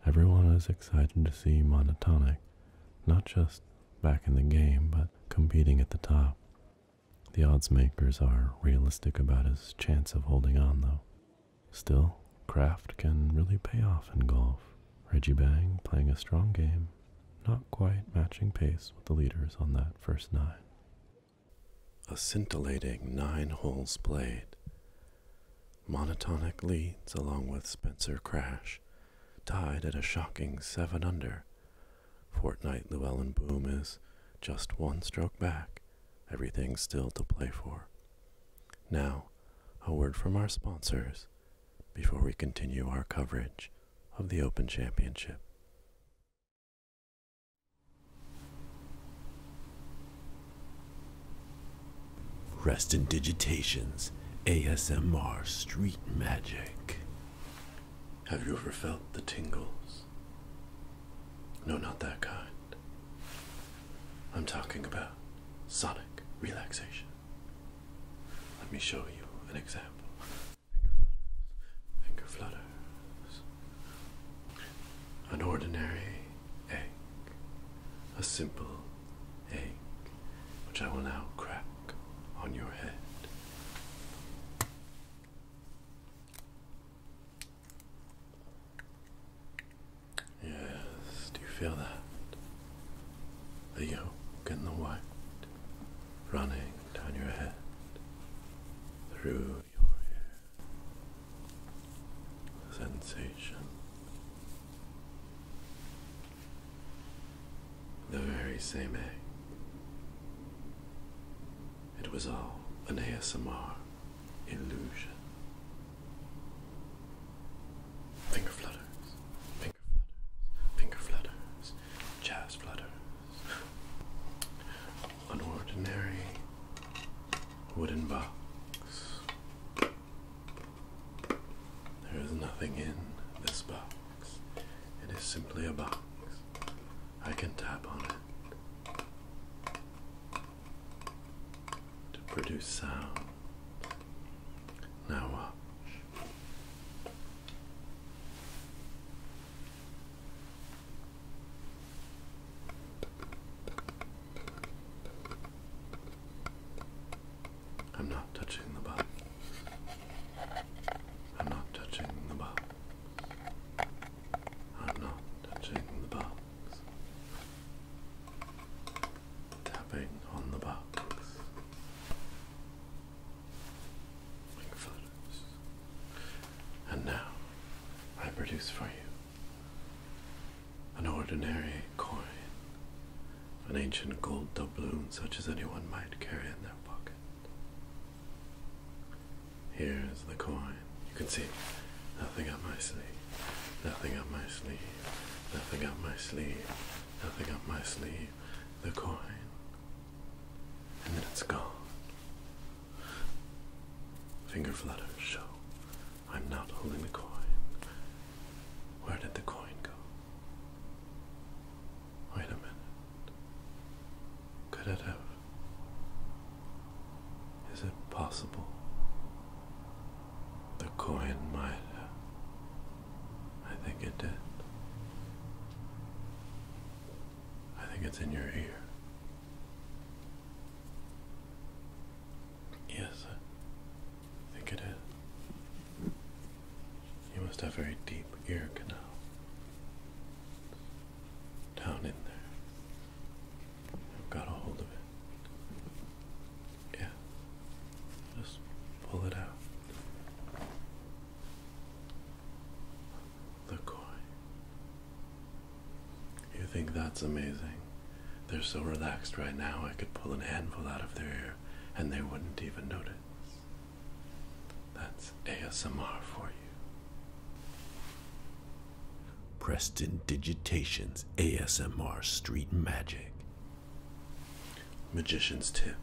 A: Everyone is excited to see Monotonic, not just back in the game, but competing at the top. The odds makers are realistic about his chance of holding on, though. Still, craft can really pay off in golf. Reggie Bang playing a strong game, not quite matching pace with the leaders on that first nine. A scintillating nine holes played. Monotonic leads along with Spencer Crash, tied at a shocking 7 under. Fortnight Llewellyn Boom is just one stroke back, Everything still to play for. Now, a word from our sponsors before we continue our coverage of the Open Championship. Rest in Digitations ASMR Street Magic. Have you ever felt the tingles? No, not that kind. I'm talking about sonic relaxation. Let me show you an example. Finger flutters. Finger flutters. An ordinary egg. A simple egg, which I will now crack on your head. Yes, do you feel that? The yolk getting the white running down your head through your hair. Sensation. The very same egg. It was all an ASMR illusion. Finger flutters, finger flutters, finger flutters, jazz flutters. An wooden box. There is nothing in this box. It is simply a box. I can tap on it to produce sound. Now watch. I'm not touching the box. I'm not touching the box. I'm not touching the box tapping on the box. And now I produce for you an ordinary coin, an ancient gold doubloon such as anyone might carry in their pocket. Here's the coin. You can see nothing up my sleeve. Nothing up my sleeve. Nothing up my sleeve. Nothing up my sleeve. The coin. And then it's gone. Finger flutters show. I'm not holding the coin. Where did the coin go? Wait a minute. Could it have is it possible the coin might I think it did. I think it's in your ear. Yes, I think it is. You must have a very deep ear canal down in there got a hold of it. Yeah. Just pull it out. The koi. You think that's amazing? They're so relaxed right now, I could pull an handful out of their ear and they wouldn't even notice. That's ASMR for you. Preston Digitation's ASMR Street Magic. Magician's tip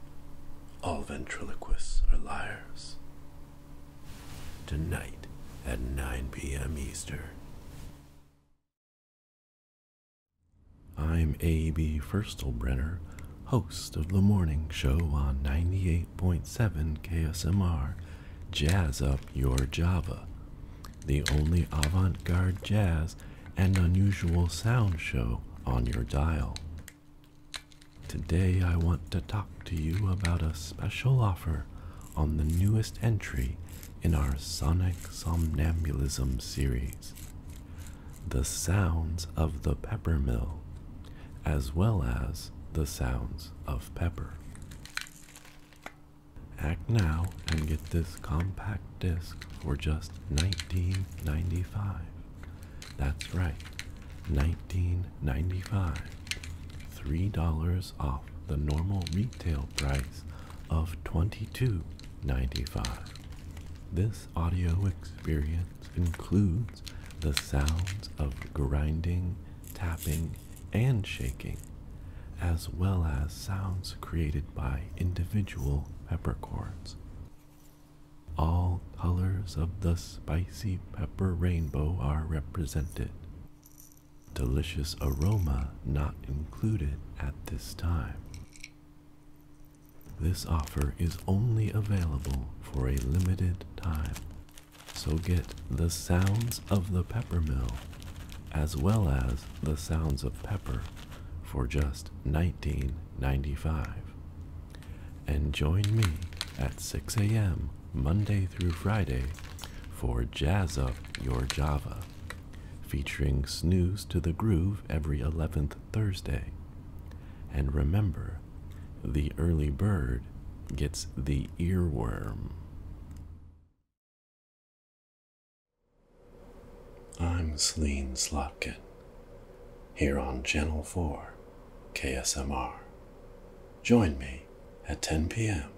A: all ventriloquists are liars. Tonight at 9 p.m. Eastern. I'm A.B. Firstelbrenner, host of the morning show on 98.7 KSMR jazz up your Java. The only avant garde jazz and unusual sound show on your dial. Today I want to talk to you about a special offer on the newest entry in our Sonic Somnambulism series the sounds of the pepper mill, as well as the sounds of pepper. Act now and get this compact disc for just nineteen ninety five. That's right, nineteen ninety $3 off the normal retail price of twenty two ninety five. This audio experience includes the sounds of grinding, tapping, and shaking, as well as sounds created by individual peppercorns. All colors of the spicy pepper rainbow are represented. Delicious aroma not included at this time. This offer is only available for a limited time, so get the sounds of the peppermill as well as The Sounds of Pepper for just nineteen ninety-five. And join me at 6 a.m. Monday through Friday for Jazz Up Your Java, featuring Snooze to the Groove every 11th Thursday. And remember, the early bird gets the earworm. I'm Celine Slotkin, here on Channel 4, KSMR. Join me at 10 p.m.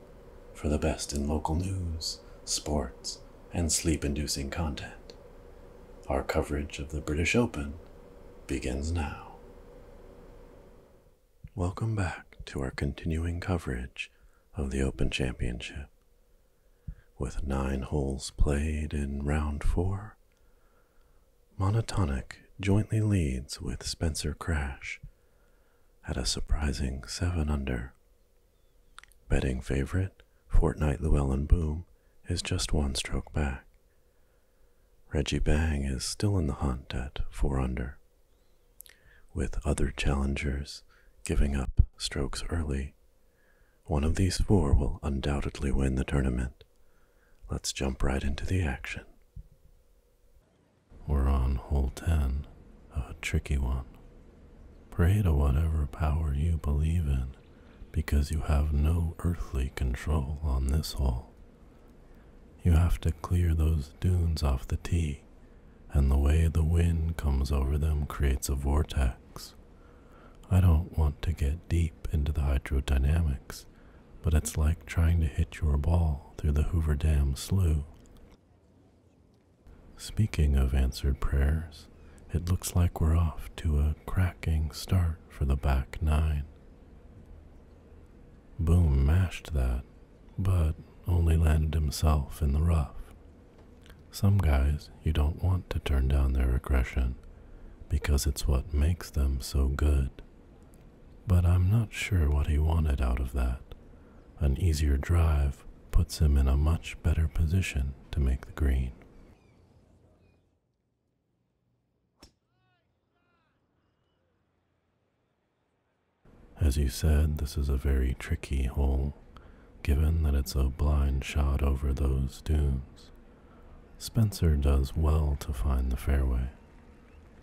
A: for the best in local news, sports, and sleep inducing content. Our coverage of the British Open begins now. Welcome back to our continuing coverage of the Open Championship, with nine holes played in round four. Monotonic jointly leads with Spencer Crash at a surprising 7 under. Betting favorite Fortnight Llewellyn Boom is just one stroke back. Reggie Bang is still in the hunt at 4 under with other challengers giving up strokes early. One of these four will undoubtedly win the tournament. Let's jump right into the action. We're on hole 10, a tricky one. Pray to whatever power you believe in, because you have no earthly control on this hole. You have to clear those dunes off the tee and the way the wind comes over them creates a vortex. I don't want to get deep into the hydrodynamics, but it's like trying to hit your ball through the Hoover Dam sluice. Speaking of answered prayers, it looks like we're off to a cracking start for the back nine. Boom mashed that, but only landed himself in the rough. Some guys you don't want to turn down their aggression because it's what makes them so good. But I'm not sure what he wanted out of that. An easier drive puts him in a much better position to make the green. As you said, this is a very tricky hole, given that it's a blind shot over those dunes. Spencer does well to find the fairway.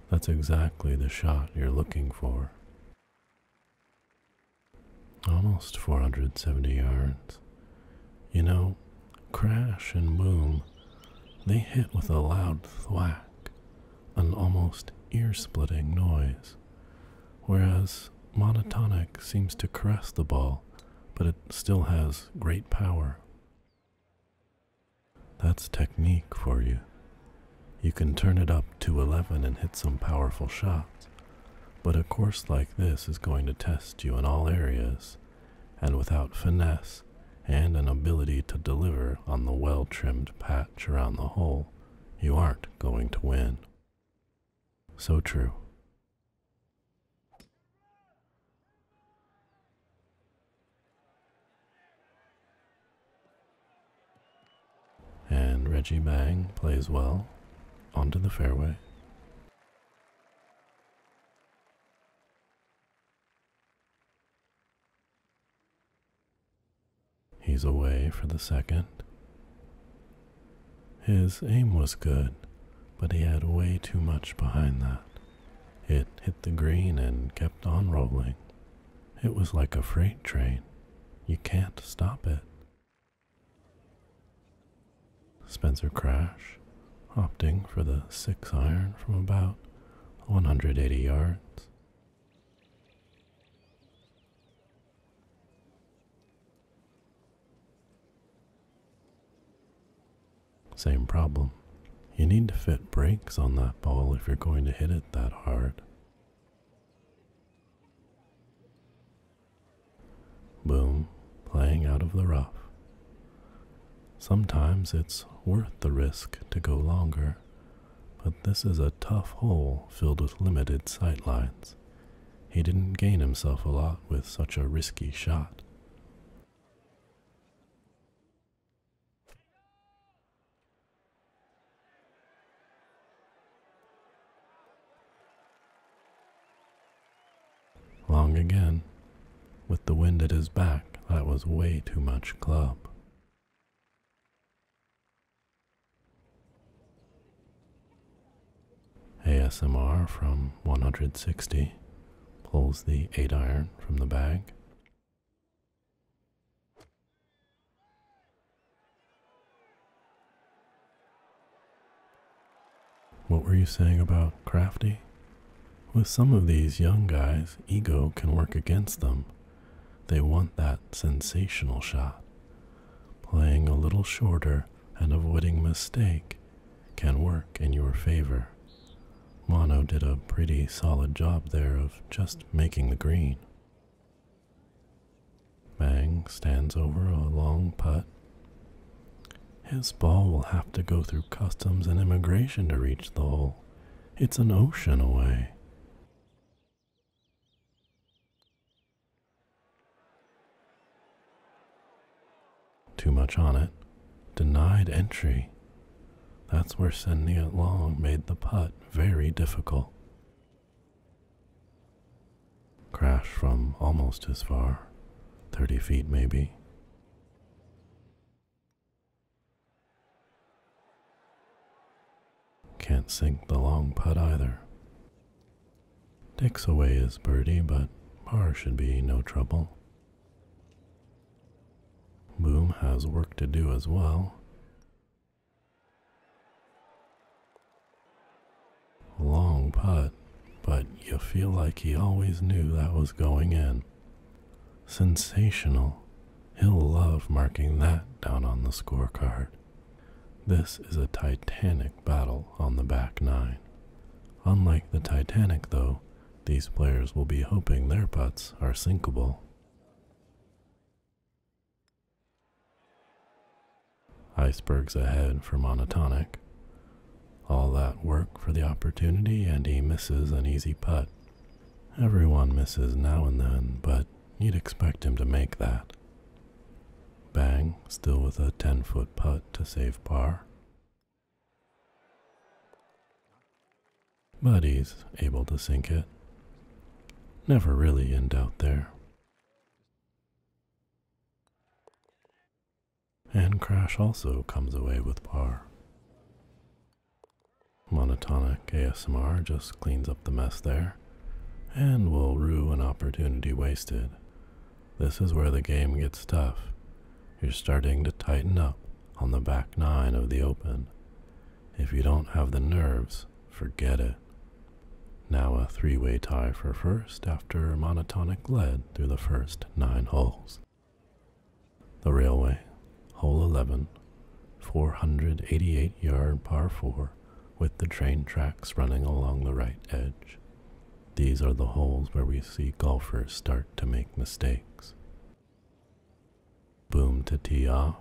A: That's exactly the shot you're looking for. Almost 470 yards. You know, crash and boom, they hit with a loud thwack, an almost ear splitting noise. Whereas monotonic seems to caress the ball, but it still has great power. That's technique for you. You can turn it up to 11 and hit some powerful shots, but a course like this is going to test you in all areas, and without finesse and an ability to deliver on the well trimmed patch around the hole, you aren't going to win. So true. And Reggie Bang plays well onto the fairway. He's away for the second. His aim was good, but he had way too much behind that. It hit the green and kept on rolling. It was like a freight train. You can't stop it. Spencer Crash, opting for the six iron from about 180 yards. Same problem. You need to fit brakes on that ball if you're going to hit it that hard. Boom, playing out of the rough. Sometimes it's worth the risk to go longer, but this is a tough hole filled with limited sight lines. He didn't gain himself a lot with such a risky shot. Long again. With the wind at his back, that was way too much club. ASMR from 160 pulls the 8 iron from the bag. What were you saying about crafty? With some of these young guys, ego can work against them. They want that sensational shot playing a little shorter and avoiding mistake can work in your favor. Mono did a pretty solid job there of just making the green. Mang stands over a long putt. His ball will have to go through customs and immigration to reach the hole. It's an ocean away. Too much on it. Denied entry. That's where sending it long made the putt very difficult. Crash from almost as far, 30 feet maybe. Can't sink the long putt either. Takes away his birdie, but par should be no trouble. Boom has work to do as well. Long putt, but you feel like he always knew that was going in. Sensational. He'll love marking that down on the scorecard. This is a titanic battle on the back nine. Unlike the Titanic, though, these players will be hoping their putts are sinkable. Icebergs ahead for monotonic. All that work for the opportunity, and he misses an easy putt. Everyone misses now and then, but you'd expect him to make that. Bang, still with a 10 foot putt to save par. But able to sink it. Never really in doubt there. And Crash also comes away with par. Monotonic ASMR just cleans up the mess there and will rue an opportunity wasted. This is where the game gets tough. You're starting to tighten up on the back nine of the open. If you don't have the nerves, forget it. Now a three way tie for first after monotonic lead through the first nine holes. The Railway, hole eleven, four hundred eighty-eight yard par 4, with the train tracks running along the right edge. These are the holes where we see golfers start to make mistakes. Boom to tee off.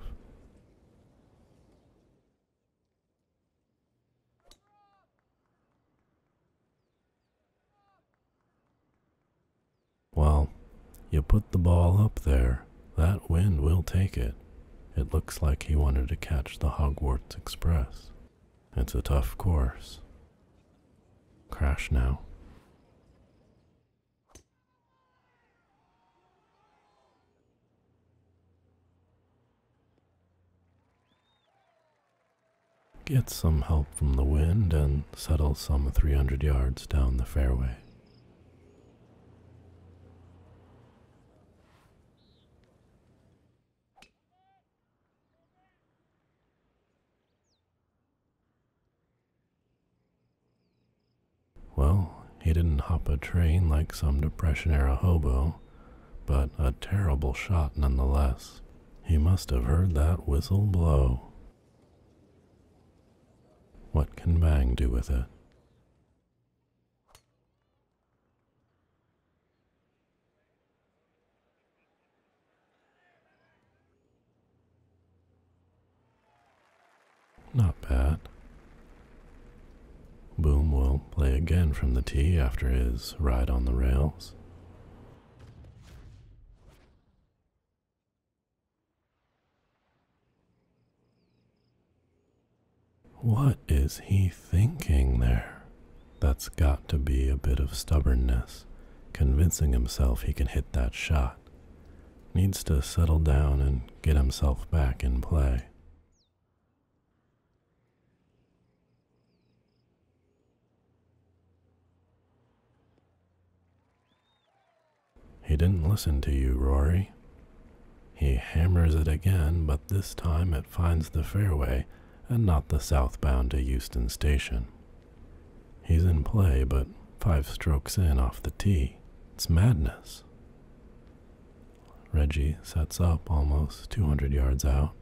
A: Well, you put the ball up there, that wind will take it. It looks like he wanted to catch the Hogwarts Express. It's a tough course. Crash now. Get some help from the wind and settle some 300 yards down the fairway. Well, he didn't hop a train like some Depression era hobo, but a terrible shot nonetheless. He must have heard that whistle blow. What can Bang do with it? Not bad. Boom will play again from the tee after his ride on the rails. What is he thinking there? That's got to be a bit of stubbornness, convincing himself he can hit that shot. Needs to settle down and get himself back in play. He didn't listen to you, Rory. He hammers it again, but this time it finds the fairway and not the southbound to Euston Station. He's in play, but five strokes in off the tee. It's madness. Reggie sets up almost 200 yards out.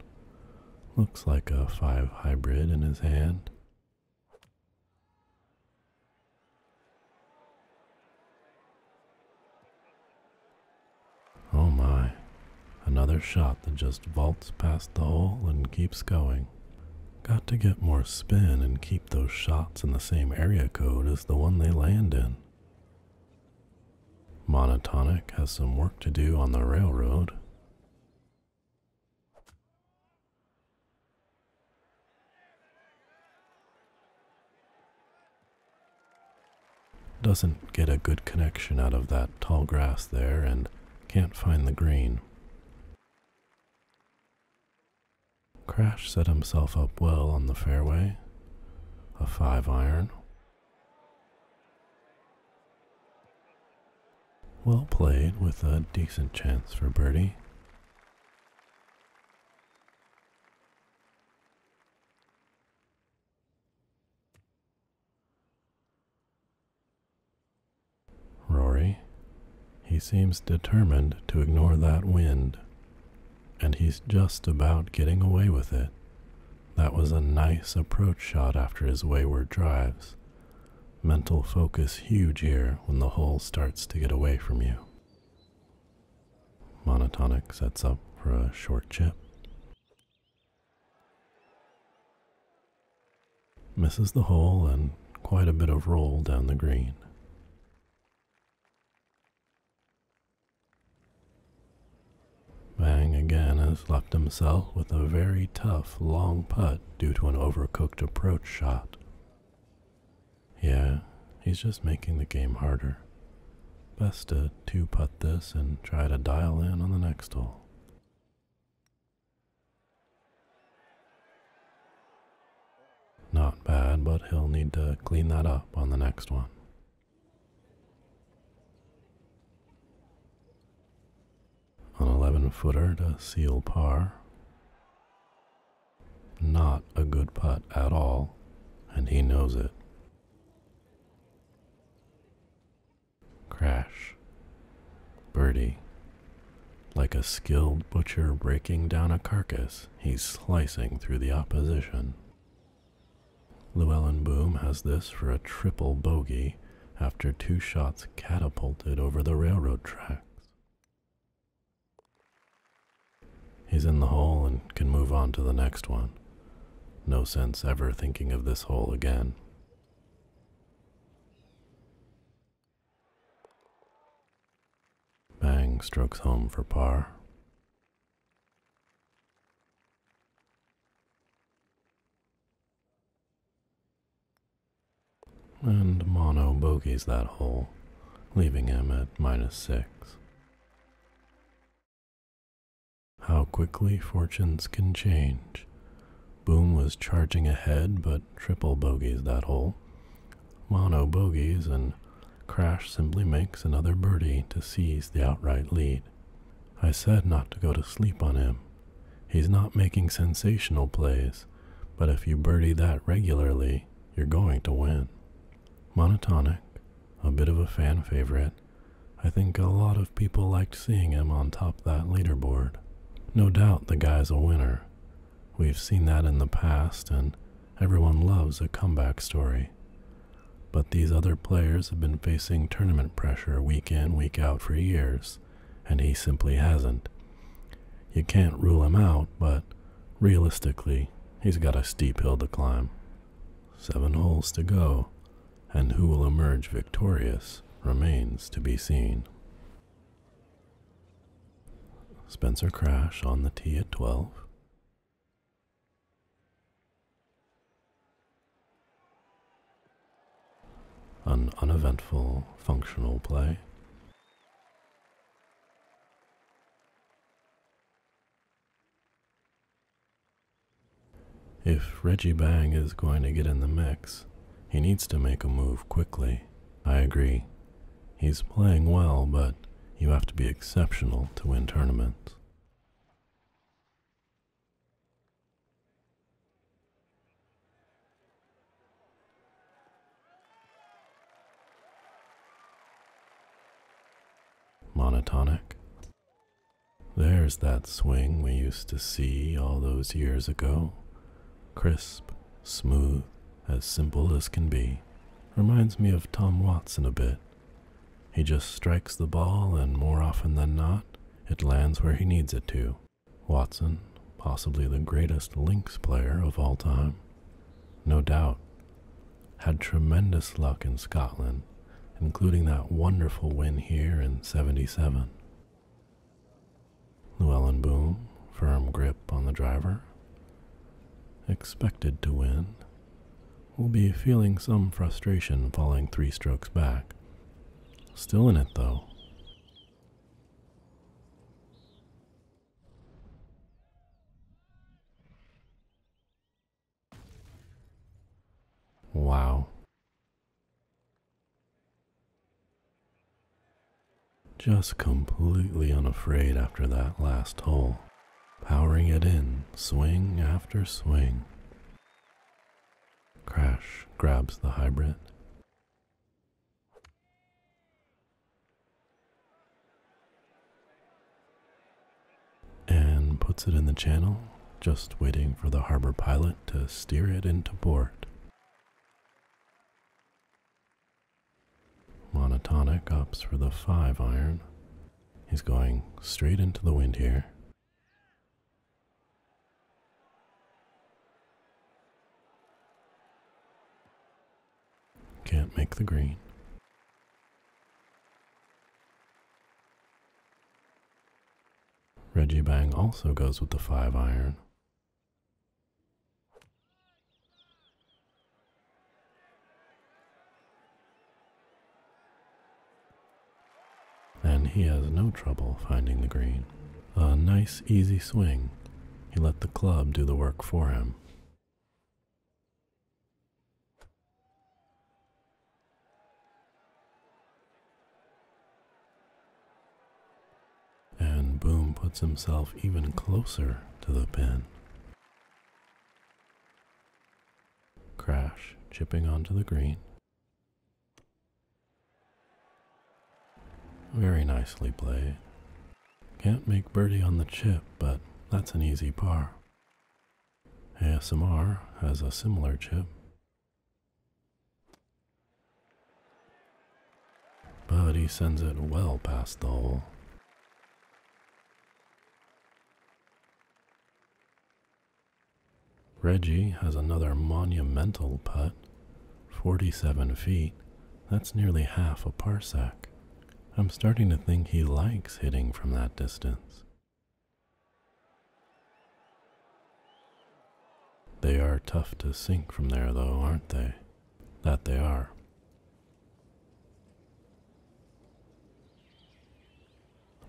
A: Looks like a 5 hybrid in his hand. Oh my, another shot that just vaults past the hole and keeps going. Got to get more spin and keep those shots in the same area code as the one they land in. Monotonic has some work to do on the railroad. Doesn't get a good connection out of that tall grass there and can't find the green. Crash set himself up well on the fairway, a five iron. Well played with a decent chance for birdie. Rory, he seems determined to ignore that wind, and he's just about getting away with it. That was a nice approach shot after his wayward drives. Mental focus huge here when the hole starts to get away from you. Monotonic sets up for a short chip. Misses the hole and quite a bit of roll down the green. Bang again has left himself with a very tough long putt due to an overcooked approach shot. Yeah, he's just making the game harder. Best to two putt this and try to dial in on the next hole. Not bad, but he'll need to clean that up on the next one. An 11 footer to seal par. Not a good putt at all, and he knows it. Crash. Birdie. Like a skilled butcher breaking down a carcass, he's slicing through the opposition. Llewellyn Boom has this for a triple bogey after two shots catapulted over the railroad tracks. He's in the hole and can move on to the next one. No sense ever thinking of this hole again. Bang strokes home for par. And Mono bogeys that hole, leaving him at minus six. How quickly fortunes can change. Boom was charging ahead, but triple bogeys that hole. Mono bogeys, and Crash simply makes another birdie to seize the outright lead. I said not to go to sleep on him. He's not making sensational plays, but if you birdie that regularly, you're going to win. Monotonic, a bit of a fan favorite, I think a lot of people liked seeing him on top that leaderboard. No doubt the guy's a winner. We've seen that in the past, and everyone loves a comeback story. But these other players have been facing tournament pressure week in, week out for years, and he simply hasn't. You can't rule him out, but realistically, he's got a steep hill to climb. Seven holes to go and who will emerge victorious remains to be seen. Spencer Crash on the tee at 12. An uneventful functional play. If Reggie Bang is going to get in the mix, he needs to make a move quickly. I agree. He's playing well, but you have to be exceptional to win tournaments. Monotonic. There's that swing we used to see all those years ago. Crisp, smooth, as simple as can be. Reminds me of Tom Watson a bit. He just strikes the ball, and more often than not, it lands where he needs it to. Watson, possibly the greatest links player of all time, no doubt, had tremendous luck in Scotland including that wonderful win here in 77. Llewellyn Boom, firm grip on the driver, expected to win, will be feeling some frustration falling three strokes back. Still in it though. Wow. Just completely unafraid after that last hole, powering it in swing after swing. Crash grabs the hybrid. And puts it in the channel just waiting for the harbor pilot to steer it into port. Monotonic ups for the five iron. He's going straight into the wind here. Can't make the green. Reggie-Bang also goes with the 5 iron. And he has no trouble finding the green. A nice easy swing. He let the club do the work for him. And Boom puts himself even closer to the pin. Crash chipping onto the green. Very nicely played. Can't make birdie on the chip, but that's an easy par. ASMR has a similar chip, but he sends it well past the hole. Reggie has another monumental putt, 47 feet. That's nearly half a parsec. I'm starting to think he likes hitting from that distance. They are tough to sink from there, though, aren't they? That they are.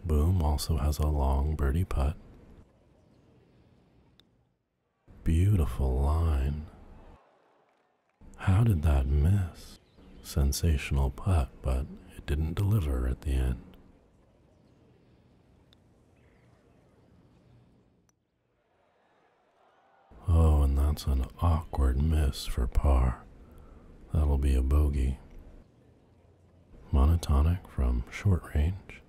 A: Boom also has a long birdie putt. Beautiful line. How did that miss? Sensational putt, but it didn't deliver at the end. Oh, and that's an awkward miss for par. That'll be a bogey. Monotonic from short range.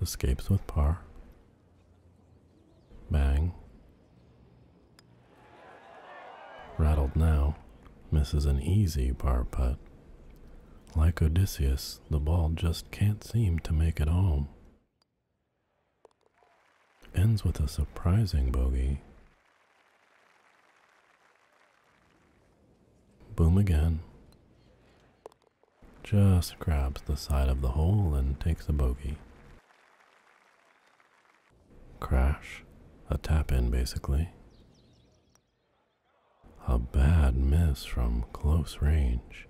A: Escapes with par. Bang. Rattled now, misses an easy par putt. Like Odysseus, the ball just can't seem to make it home. Ends with a surprising bogey. Boom again. Just grabs the side of the hole and takes a bogey. Crash. A tap in, basically. A bad miss from close range.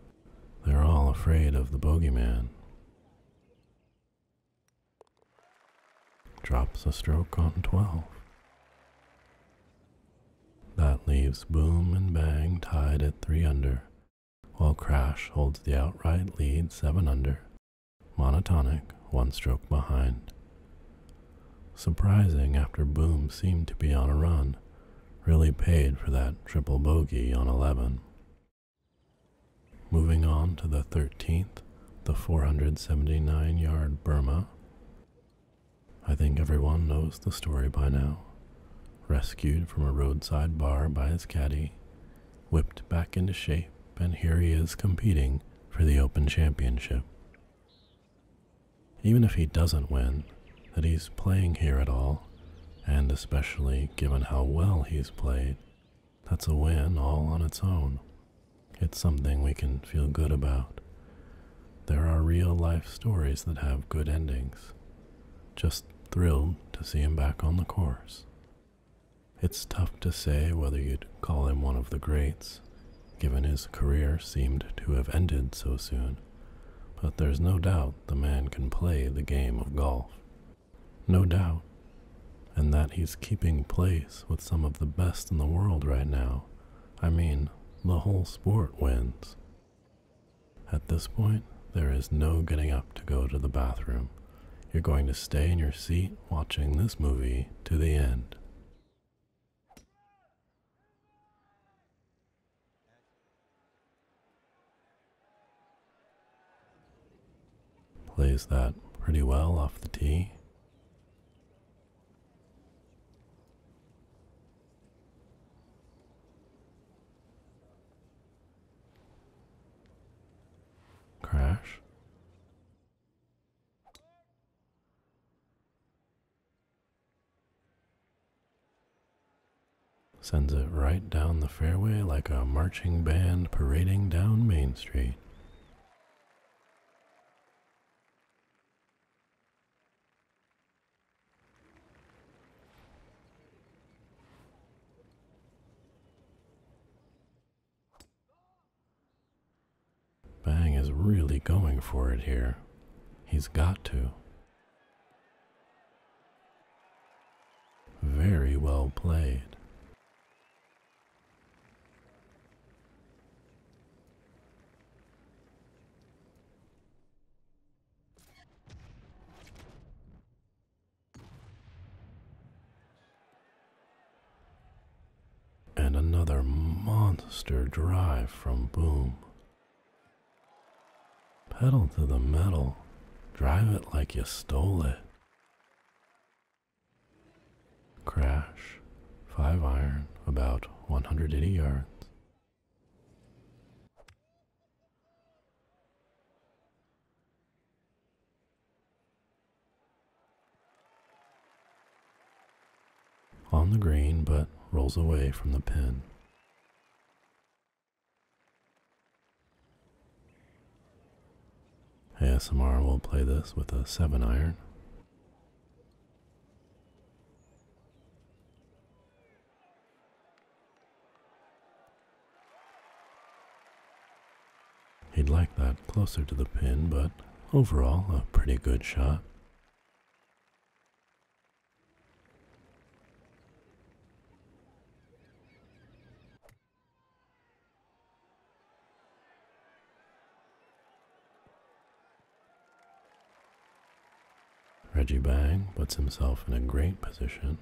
A: They're all afraid of the bogeyman. Drops a stroke on 12. That leaves Boom and Bang tied at 3 under, while Crash holds the outright lead 7 under monotonic, one stroke behind. Surprising after Boom seemed to be on a run, really paid for that triple bogey on 11. Moving on to the 13th, the 479 yard Burma. I think everyone knows the story by now. Rescued from a roadside bar by his caddy, whipped back into shape, and here he is competing for the Open Championship. Even if he doesn't win, that he's playing here at all, and especially given how well he's played, that's a win all on its own. It's something we can feel good about. There are real life stories that have good endings. Just thrilled to see him back on the course. It's tough to say whether you'd call him one of the greats, given his career seemed to have ended so soon, but there's no doubt the man can play the game of golf. No doubt. And that he's keeping place with some of the best in the world right now. I mean, the whole sport wins. At this point, there is no getting up to go to the bathroom. You're going to stay in your seat watching this movie to the end. Plays that pretty well off the tee. Crash. Sends it right down the fairway like a marching band parading down Main Street. Bang is really going for it here. He's got to. Very well played. And another monster drive from Boom. Pedal to the metal, drive it like you stole it. Crash, 5 iron, about 180 yards. On the green, but rolls away from the pin. ASMR will play this with a 7 iron. He'd like that closer to the pin, but overall, a pretty good shot. Reggie Bang puts himself in a great position.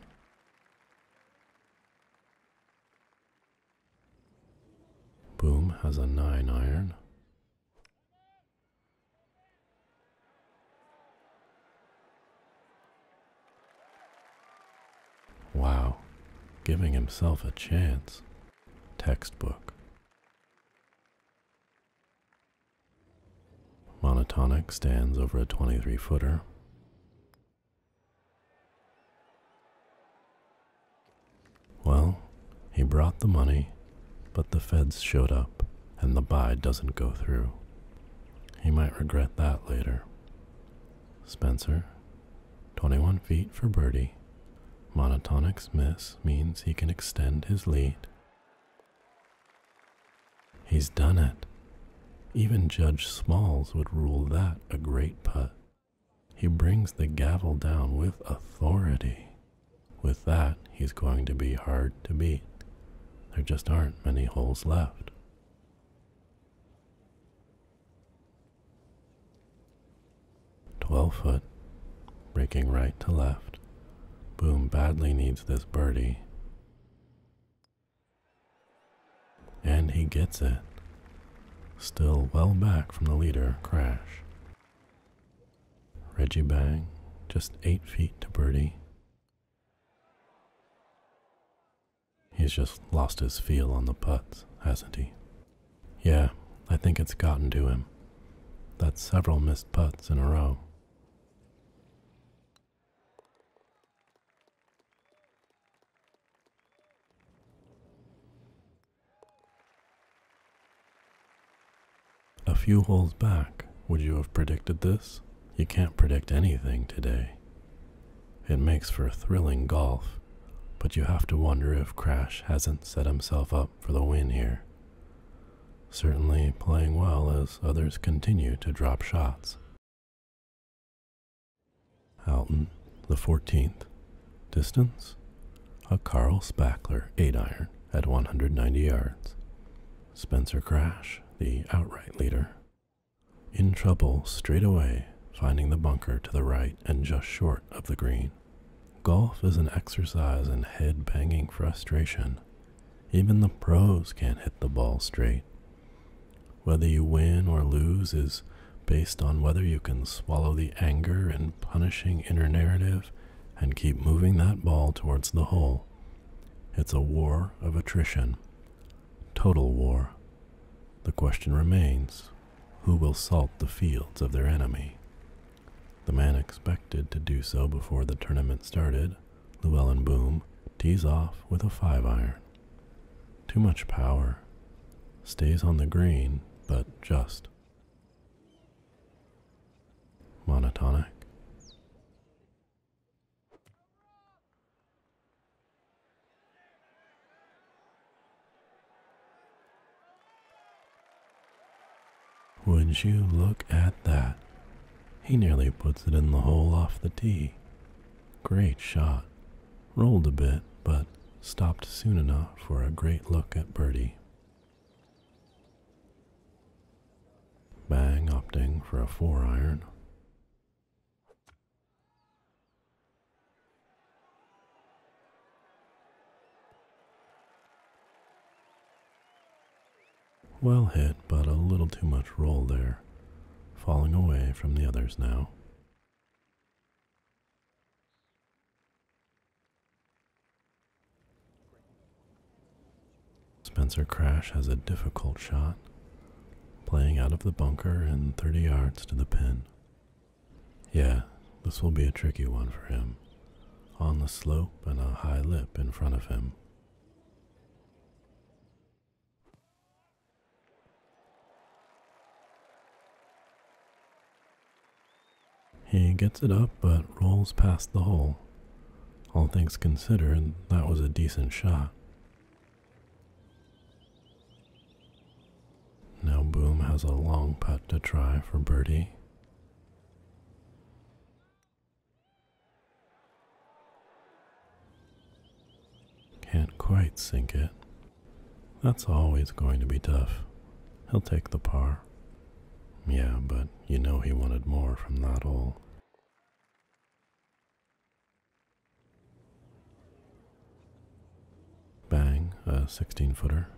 A: Boom has a 9 iron. Wow, giving himself a chance. Textbook. Monotonic stands over a 23 footer. Well, he brought the money, but the feds showed up and the buy doesn't go through. He might regret that later. Spencer, 21 feet for birdie. Monotonic miss means he can extend his lead. He's done it. Even Judge Smalls would rule that a great putt. He brings the gavel down with authority. With that, he's going to be hard to beat. There just aren't many holes left. Twelve foot, breaking right to left. Boom badly needs this birdie. And he gets it. Still well back from the leader, Crash. Reggie Bang, just eight feet to birdie. He's just lost his feel on the putts, hasn't he? Yeah, I think it's gotten to him. That's several missed putts in a row. A few holes back, would you have predicted this? You can't predict anything today. It makes for thrilling golf, but you have to wonder if Crash hasn't set himself up for the win here. Certainly playing well as others continue to drop shots. Alton, the 14th, Distance a Carl Spackler 8 iron at 190 yards. Spencer Crash, the outright leader, in trouble straight away, finding the bunker to the right and just short of the green. Golf is an exercise in head banging frustration. Even the pros can't hit the ball straight. Whether you win or lose is based on whether you can swallow the anger and punishing inner narrative and keep moving that ball towards the hole. It's a war of attrition, total war. The question remains who will salt the fields of their enemy? The man expected to do so before the tournament started, Llewellyn Boom, tees off with a five iron. Too much power. Stays on the green, but just monotonic. Would you look at that? He nearly puts it in the hole off the tee. Great shot. Rolled a bit, but stopped soon enough for a great look at birdie. Bang opting for a four iron. Well hit, but a little too much roll there, falling away from the others now. Spencer Crash has a difficult shot, playing out of the bunker and 30 yards to the pin. Yeah, this will be a tricky one for him, on the slope and a high lip in front of him. He gets it up but rolls past the hole. All things considered, that was a decent shot. Now Boom has a long putt to try for birdie. Can't quite sink it. That's always going to be tough. He'll take the par. Yeah, but you know he wanted more from that all. Bang, a 16 footer.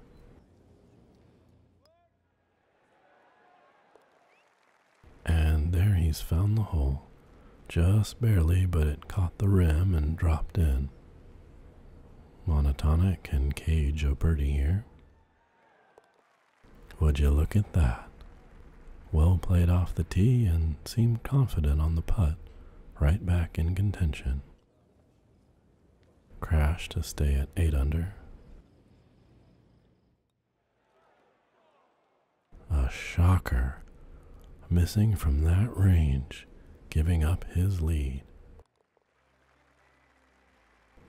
A: And there he's found the hole. Just barely, but it caught the rim and dropped in. Monotonic and cage a birdie here. Would you look at that? Will played off the tee and seemed confident on the putt, right back in contention. Crash to stay at 8 under. A shocker, missing from that range, giving up his lead.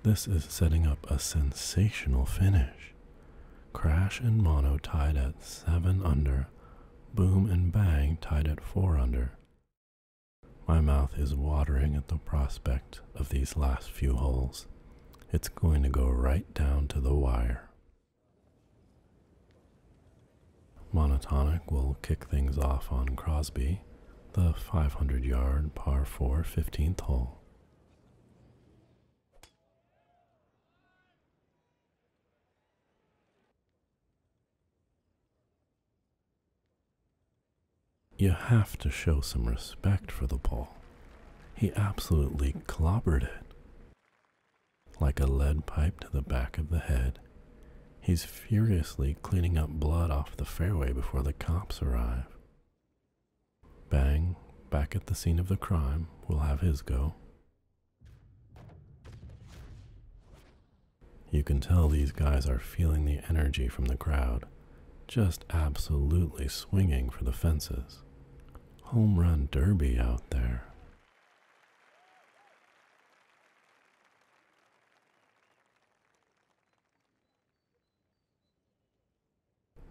A: This is setting up a sensational finish. Crash and Mono tied at 7 under, Boom and Bang tied at 4 under. My mouth is watering at the prospect of these last few holes. It's going to go right down to the wire. Monotonic will kick things off on Crosby, the 500 yard par four fifteenth hole. You have to show some respect for the ball. He absolutely clobbered it. Like a lead pipe to the back of the head, he's furiously cleaning up blood off the fairway before the cops arrive. Bang, back at the scene of the crime, will have his go. You can tell these guys are feeling the energy from the crowd, just absolutely swinging for the fences. Home run derby out there.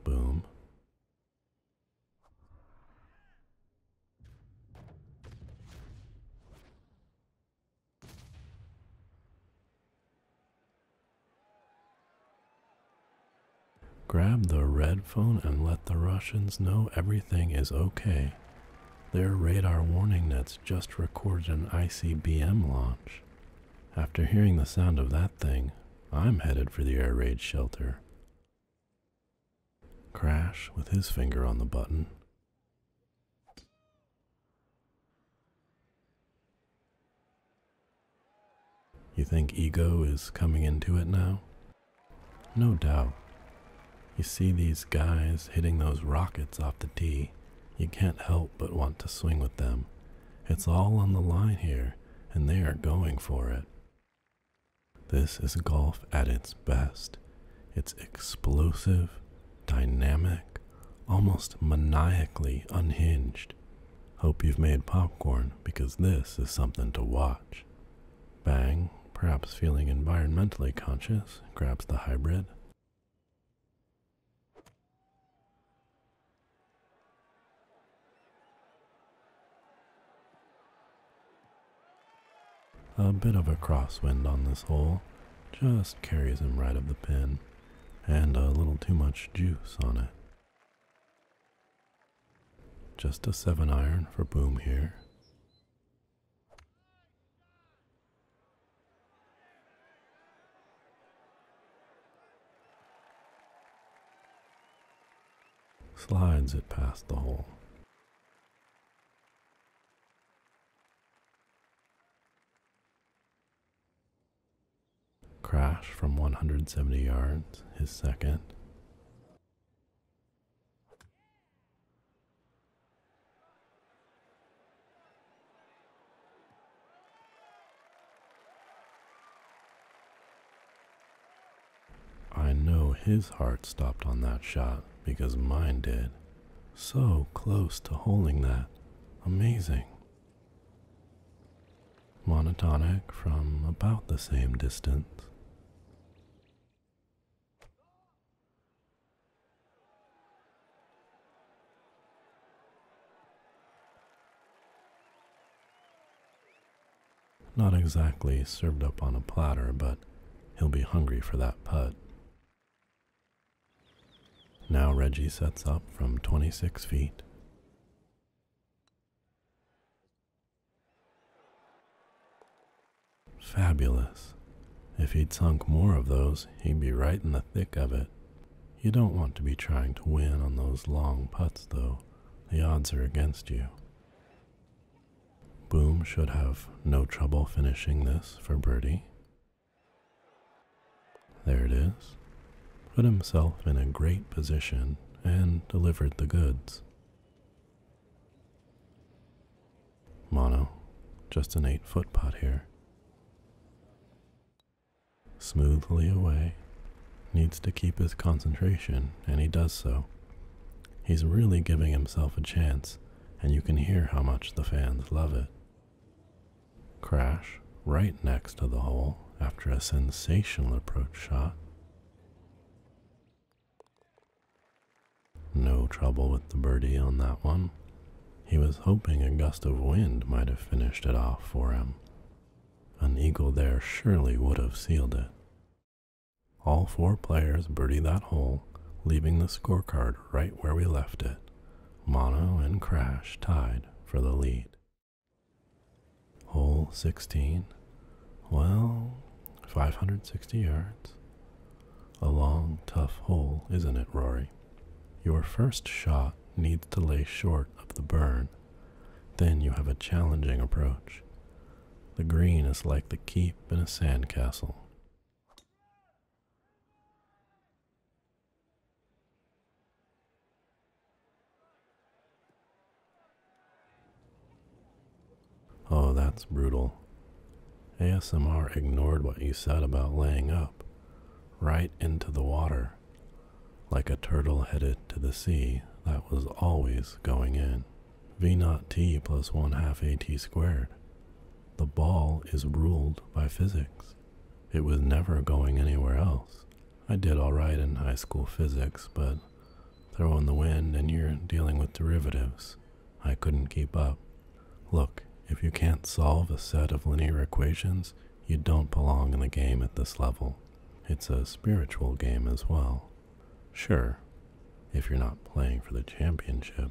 A: Boom. Grab the red phone and let the Russians know everything is okay. Their radar warning nets just recorded an ICBM launch. After hearing the sound of that thing, I'm headed for the air raid shelter. Crash with his finger on the button. You think ego is coming into it now? No doubt. You see these guys hitting those rockets off the tee, you can't help but want to swing with them it's all on the line here, and they are going for it. This is golf at its best. It's explosive, dynamic, almost maniacally unhinged. Hope you've made popcorn because this is something to watch. Bang, perhaps feeling environmentally conscious, grabs the hybrid. A bit of a crosswind on this hole just carries him right of the pin, and a little too much juice on it. Just a 7 iron for boom here. Slides it past the hole. Crash from 170 yards, his second. I know his heart stopped on that shot because mine did. So close to holding that. Amazing. Monotonic from about the same distance. Not exactly served up on a platter, but he'll be hungry for that putt. Now Reggie sets up from 26 feet. Fabulous. If he'd sunk more of those, he'd be right in the thick of it. You don't want to be trying to win on those long putts, though. The odds are against you. Boom should have no trouble finishing this for birdie. There it is. Put himself in a great position and delivered the goods. Mono, just an eight foot putt here smoothly away, needs to keep his concentration, and he does so. He's really giving himself a chance, and you can hear how much the fans love it. Crash, right next to the hole, after a sensational approach shot. No trouble with the birdie on that one. He was hoping a gust of wind might have finished it off for him, an eagle there surely would have sealed it. All four players birdie that hole, leaving the scorecard right where we left it. Mono and Crash tied for the lead. Hole 16. Well, 560 yards. A long, tough hole, isn't it, Rory? Your first shot needs to lay short of the burn. Then you have a challenging approach. The green is like the keep in a sandcastle. Oh, that's brutal. ASMR ignored what you said about laying up. Right into the water like a turtle headed to the sea that was always going in. V naught t plus 1 half at squared. The ball is ruled by physics. It was never going anywhere else. I did alright in high school physics, but throwing the wind and you're dealing with derivatives. I couldn't keep up. Look, if you can't solve a set of linear equations, you don't belong in the game at this level. It's a spiritual game as well. Sure, if you're not playing for the championship,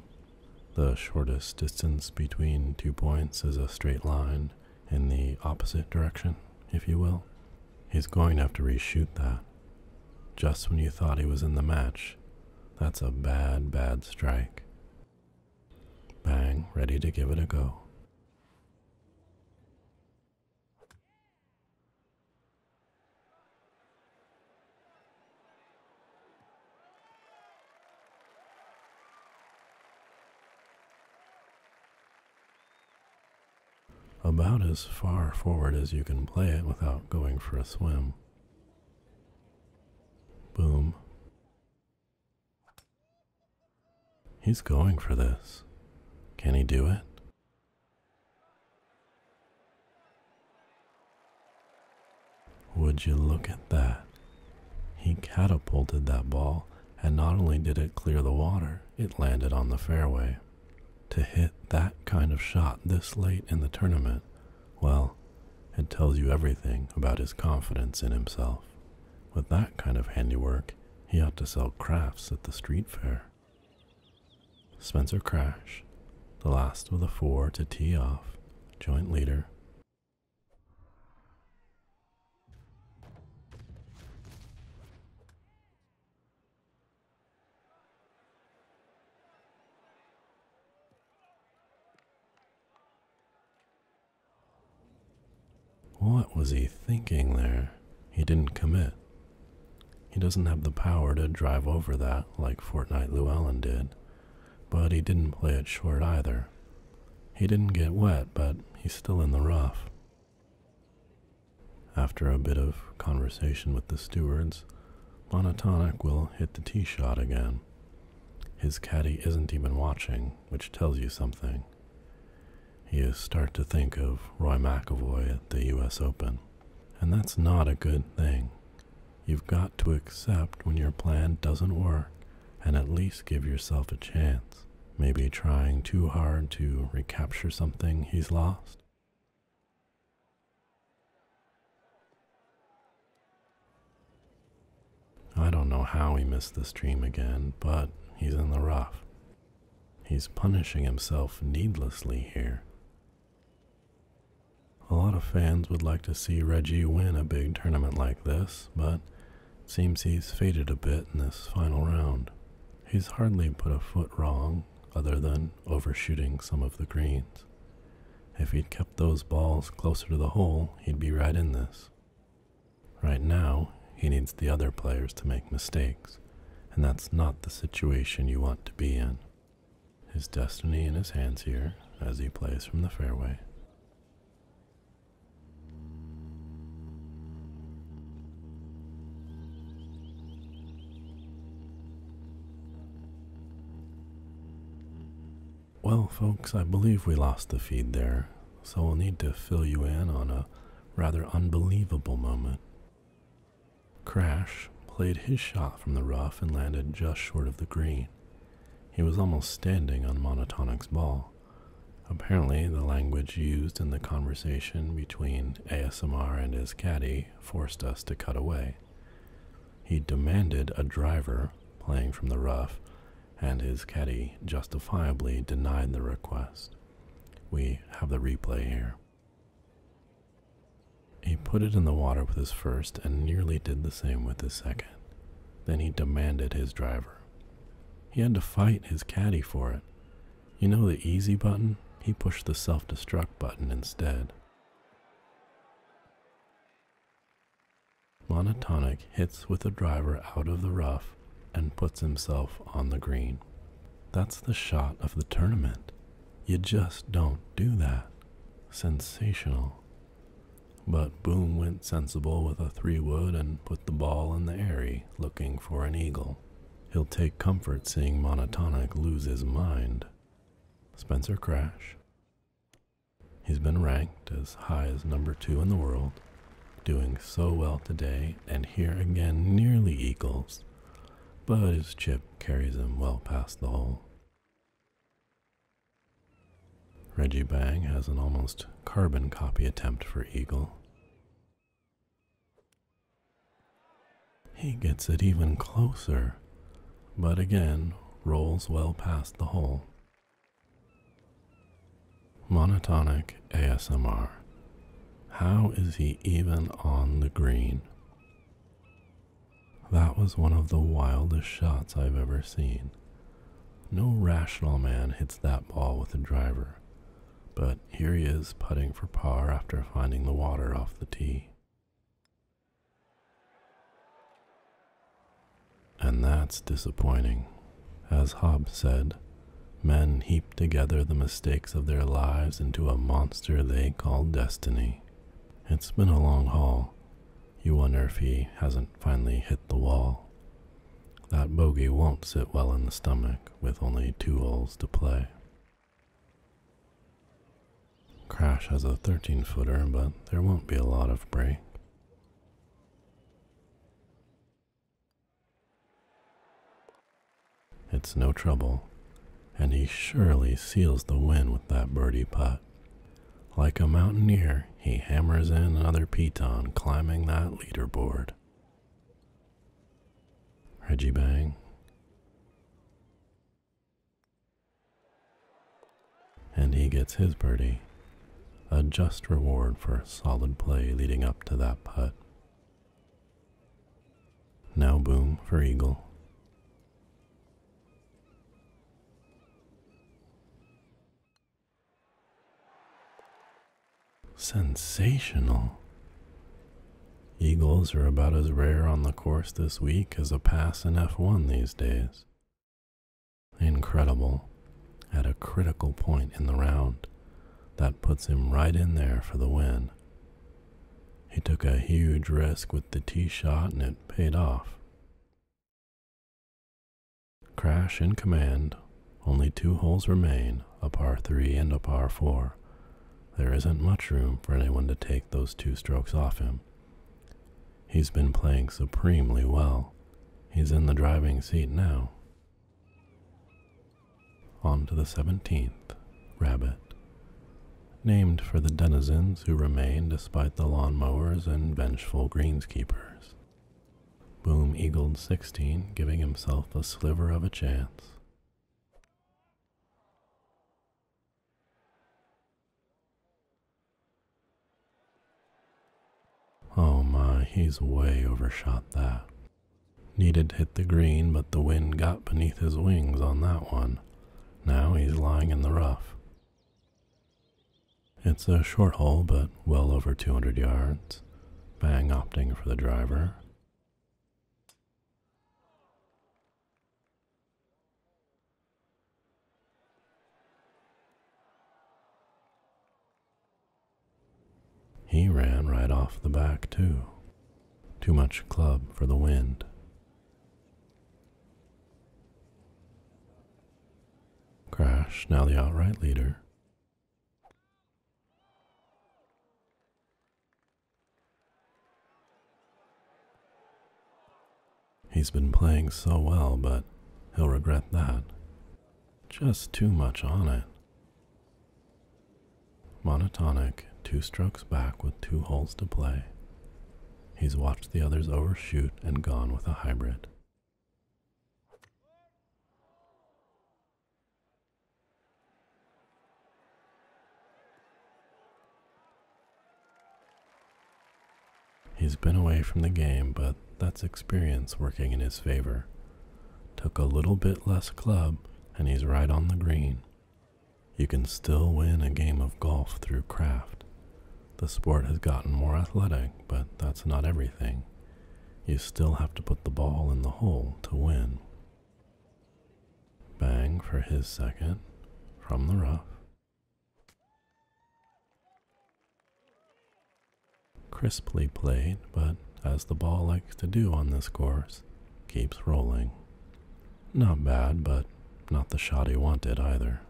A: the shortest distance between two points is a straight line in the opposite direction, if you will. He's going to have to reshoot that. Just when you thought he was in the match, that's a bad, bad strike. Bang, ready to give it a go. About as far forward as you can play it without going for a swim. Boom. He's going for this. Can he do it? Would you look at that? He catapulted that ball, and not only did it clear the water, it landed on the fairway. To hit that kind of shot this late in the tournament, well, it tells you everything about his confidence in himself. With that kind of handiwork, he ought to sell crafts at the street fair. Spencer Crash, the last of the four to tee off, joint leader. What was he thinking there? He didn't commit. He doesn't have the power to drive over that like Fortnight Llewellyn did, but he didn't play it short either. He didn't get wet, but he's still in the rough. After a bit of conversation with the stewards, Monotonic will hit the tee shot again. His caddy isn't even watching, which tells you something you start to think of Roy McIlroy at the US Open. And that's not a good thing. You've got to accept when your plan doesn't work and at least give yourself a chance. Maybe trying too hard to recapture something he's lost. I don't know how he missed the stream again, but he's in the rough. He's punishing himself needlessly here. A lot of fans would like to see Reggie win a big tournament like this, but it seems he's faded a bit in this final round. He's hardly put a foot wrong, other than overshooting some of the greens. If he'd kept those balls closer to the hole, he'd be right in this. Right now, he needs the other players to make mistakes, and that's not the situation you want to be in. His destiny in his hands here as he plays from the fairway. Well, folks, I believe we lost the feed there, so we'll need to fill you in on a rather unbelievable moment. Crash played his shot from the rough and landed just short of the green. He was almost standing on Monotonic's ball. Apparently, the language used in the conversation between ASMR and his caddy forced us to cut away. He demanded a driver playing from the rough, and his caddy justifiably denied the request. We have the replay here. He put it in the water with his first and nearly did the same with his second. Then he demanded his driver. He had to fight his caddy for it. You know the easy button? He pushed the self destruct button instead. Monotonic hits with the driver out of the rough and puts himself on the green. That's the shot of the tournament. You just don't do that. Sensational. But Boom went sensible with a three wood and put the ball in the airy, looking for an eagle. He'll take comfort seeing Monotonic lose his mind. Spencer Crash. He's been ranked as high as number two in the world doing so well today, and here again nearly equals, but his chip carries him well past the hole. Reggie Bang has an almost carbon copy attempt for Eagle. He gets it even closer, but again rolls well past the hole. Monotonic ASMR. How is he even on the green? That was one of the wildest shots I've ever seen. No rational man hits that ball with a driver, but here he is putting for par after finding the water off the tee. And that's disappointing. As Hobbes said, men heap together the mistakes of their lives into a monster they call destiny. It's been a long haul. You wonder if he hasn't finally hit the wall. That bogey won't sit well in the stomach with only two holes to play. Crash has a 13 footer, but there won't be a lot of break. It's no trouble, and he surely seals the win with that birdie putt. Like a mountaineer, he hammers in another piton, climbing that leaderboard. Reggie Bang. And he gets his birdie, a just reward for solid play leading up to that putt. Now boom for eagle. Sensational. Eagles are about as rare on the course this week as a pass in F1 these days. Incredible. At a critical point in the round, that puts him right in there for the win. He took a huge risk with the tee shot and it paid off. Crash in command. Only two holes remain, a par 3 and a par 4. There isn't much room for anyone to take those two strokes off him. He's been playing supremely well. He's in the driving seat now. On to the seventeenth, Rabbit, named for the denizens who remain despite the lawn mowers and vengeful greenskeepers. Boom eagled 16, giving himself a sliver of a chance. Oh my, he's way overshot that. Needed to hit the green, but the wind got beneath his wings on that one. Now he's lying in the rough. It's a short hole, but well over 200 yards. Bang opting for the driver. He ran right off the back, too. Too much club for the wind. Crash, now the outright leader. He's been playing so well, but he'll regret that. Just too much on it. Monotonic, two strokes back with two holes to play. He's watched the others overshoot and gone with a hybrid. He's been away from the game, but that's experience working in his favor. Took a little bit less club, and he's right on the green. You can still win a game of golf through craft. The sport has gotten more athletic, but that's not everything. You still have to put the ball in the hole to win. Bang for his second from the rough. Crisply played, but as the ball likes to do on this course, Keeps rolling. Not bad, but not the shot he wanted either.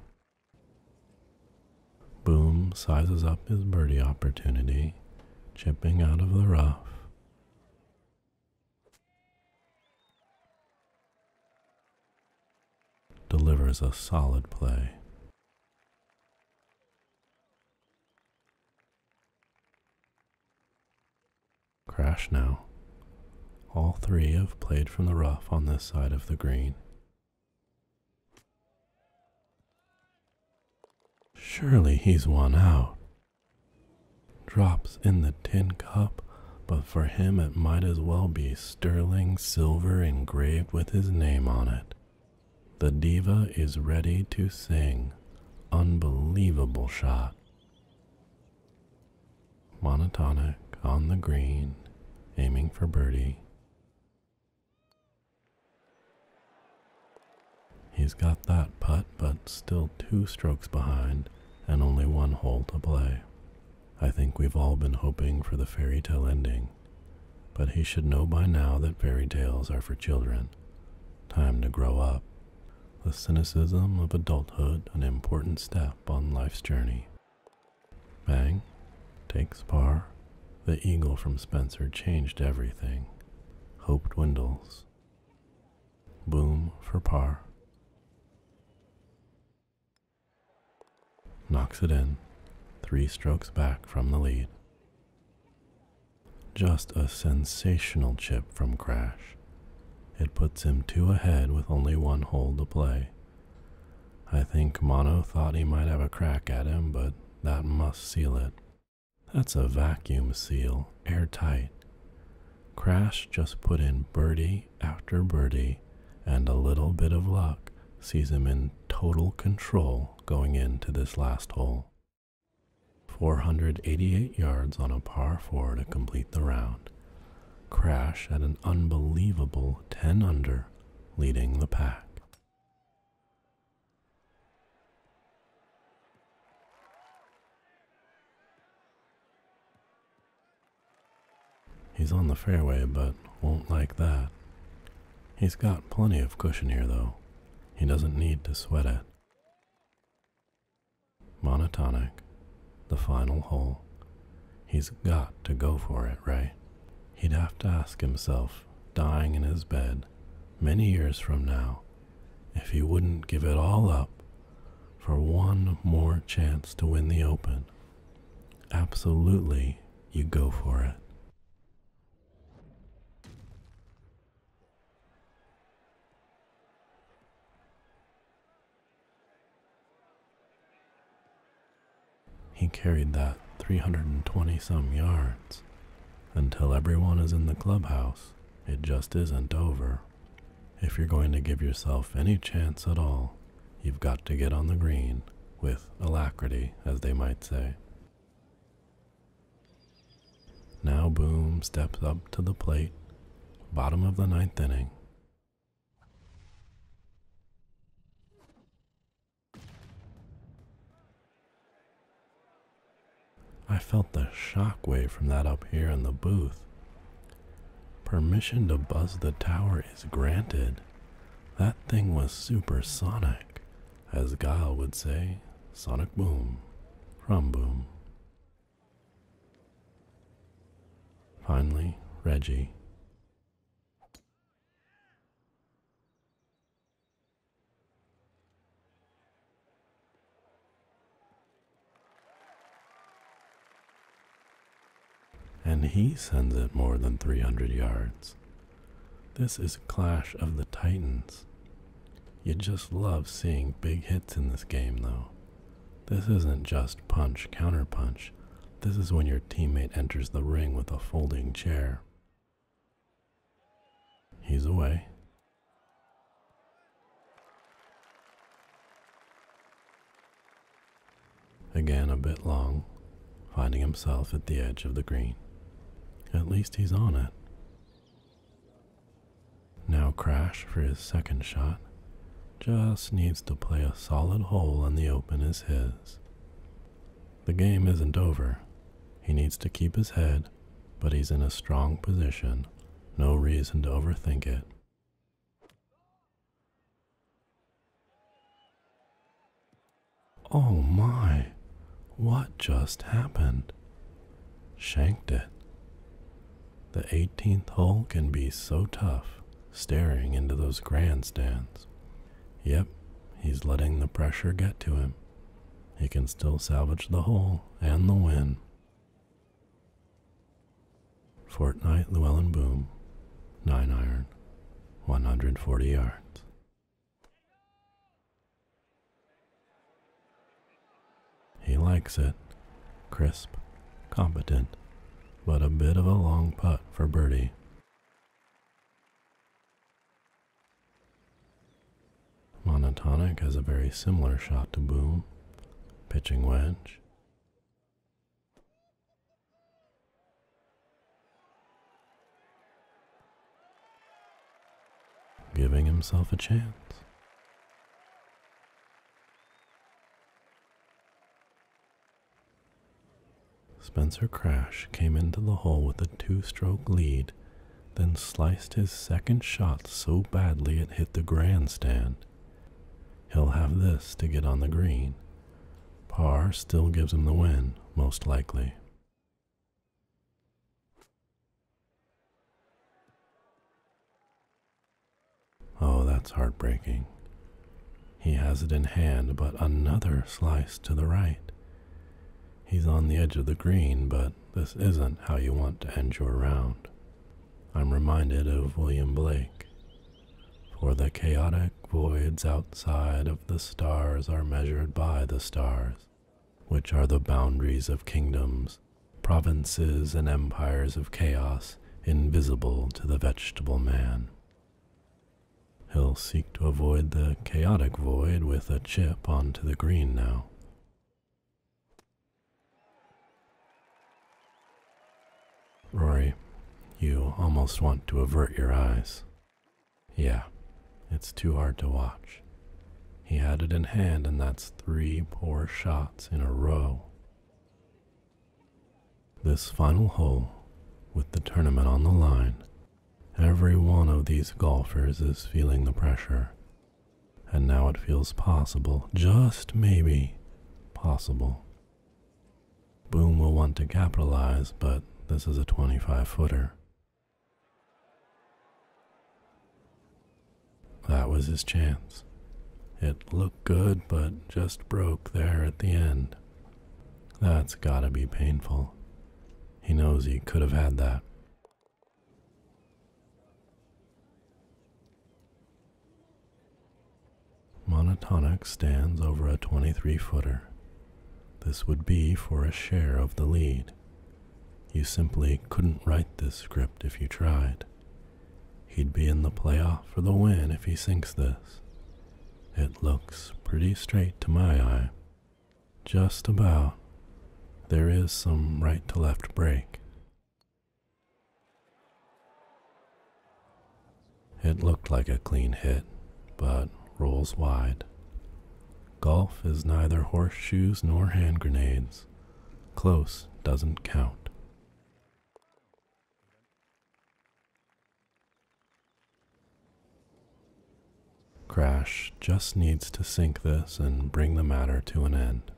A: Boom sizes up his birdie opportunity, chipping out of the rough. Delivers a solid play. Crash now. All three have played from the rough on this side of the green. Surely he's won out. Drops in the tin cup, but for him it might as well be sterling silver engraved with his name on it. The diva is ready to sing Unbelievable shot. Monotonic on the green, aiming for birdie. He's got that putt, but still two strokes behind and only one hole to play. I think we've all been hoping for the fairy tale ending, but he should know by now that fairy tales are for children. Time to grow up. The cynicism of adulthood, an important step on life's journey. Bang, takes par. The eagle from Spencer changed everything. Hope dwindles. Boom for par. Knocks it in, three strokes back from the lead. Just a sensational chip from Crash. It puts him two ahead with only one hole to play. I think Mono thought he might have a crack at him, but that must seal it. That's a vacuum seal, airtight. Crash just put in birdie after birdie, and a little bit of luck sees him in total control going into this last hole. 488 yards on a par 4 to complete the round. Crash at an unbelievable 10 under, leading the pack. He's on the fairway, but won't like that. He's got plenty of cushion here, though. He doesn't need to sweat it. Monotonic, the final hole. He's got to go for it, right? He'd have to ask himself, dying in his bed, many years from now, if he wouldn't give it all up for one more chance to win the Open. Absolutely, you go for it. He carried that 320 some yards. Until everyone is in the clubhouse, it just isn't over. If you're going to give yourself any chance at all, you've got to get on the green with alacrity, as they might say. Now Boom steps up to the plate, bottom of the ninth inning. I felt the shockwave from that up here in the booth. Permission to buzz the tower is granted. That thing was supersonic, as Guile would say, sonic boom, rum boom. Finally, Reggie. And he sends it more than 300 yards. This is Clash of the Titans. You just love seeing big hits in this game, though. This isn't just punch counter punch. this is when your teammate enters the ring with a folding chair. He's away. Again, a bit long, finding himself at the edge of the green. At least he's on it. Now, Crash, for his second shot, just needs to play a solid hole and the open is his. The game isn't over. He needs to keep his head, but he's in a strong position. No reason to overthink it. Oh my! What just happened? shanked it. The 18th hole can be so tough staring into those grandstands. Yep, he's letting the pressure get to him. He can still salvage the hole and the win. Fortnight Llewellyn Boom, 9 iron, 140 yards. He likes it. Crisp, competent, but a bit of a long putt for birdie. Monotonic has a very similar shot to Boom, pitching wedge. Giving himself a chance. Spencer Crash came into the hole with a two stroke lead, then sliced his second shot so badly it hit the grandstand. He'll have this to get on the green. Par still gives him the win, most likely. Oh, that's heartbreaking. He has it in hand, but another slice to the right. He's on the edge of the green, but this isn't how you want to end your round. I'm reminded of William Blake. For the chaotic voids outside of the stars are measured by the stars, which are the boundaries of kingdoms provinces and empires of chaos invisible to the vegetable man. He'll seek to avoid the chaotic void with a chip onto the green now. Rory, you almost want to avert your eyes. Yeah, it's too hard to watch. He had it in hand, and that's three poor shots in a row. This final hole, with the tournament on the line, every one of these golfers is feeling the pressure. And now it feels possible, just maybe possible. Boom will want to capitalize, but this is a 25 footer. That was his chance. It looked good, but just broke there at the end. That's gotta be painful. He knows he could have had that. Monotonic stands over a 23 footer. This would be for a share of the lead, you simply couldn't write this script if you tried. He'd be in the playoff for the win if he sinks this. It looks pretty straight to my eye. Just about. There is some right to left break. It looked like a clean hit, but rolls wide. Golf is neither horseshoes nor hand grenades. Close doesn't count. Crash just needs to sink this and bring the matter to an end.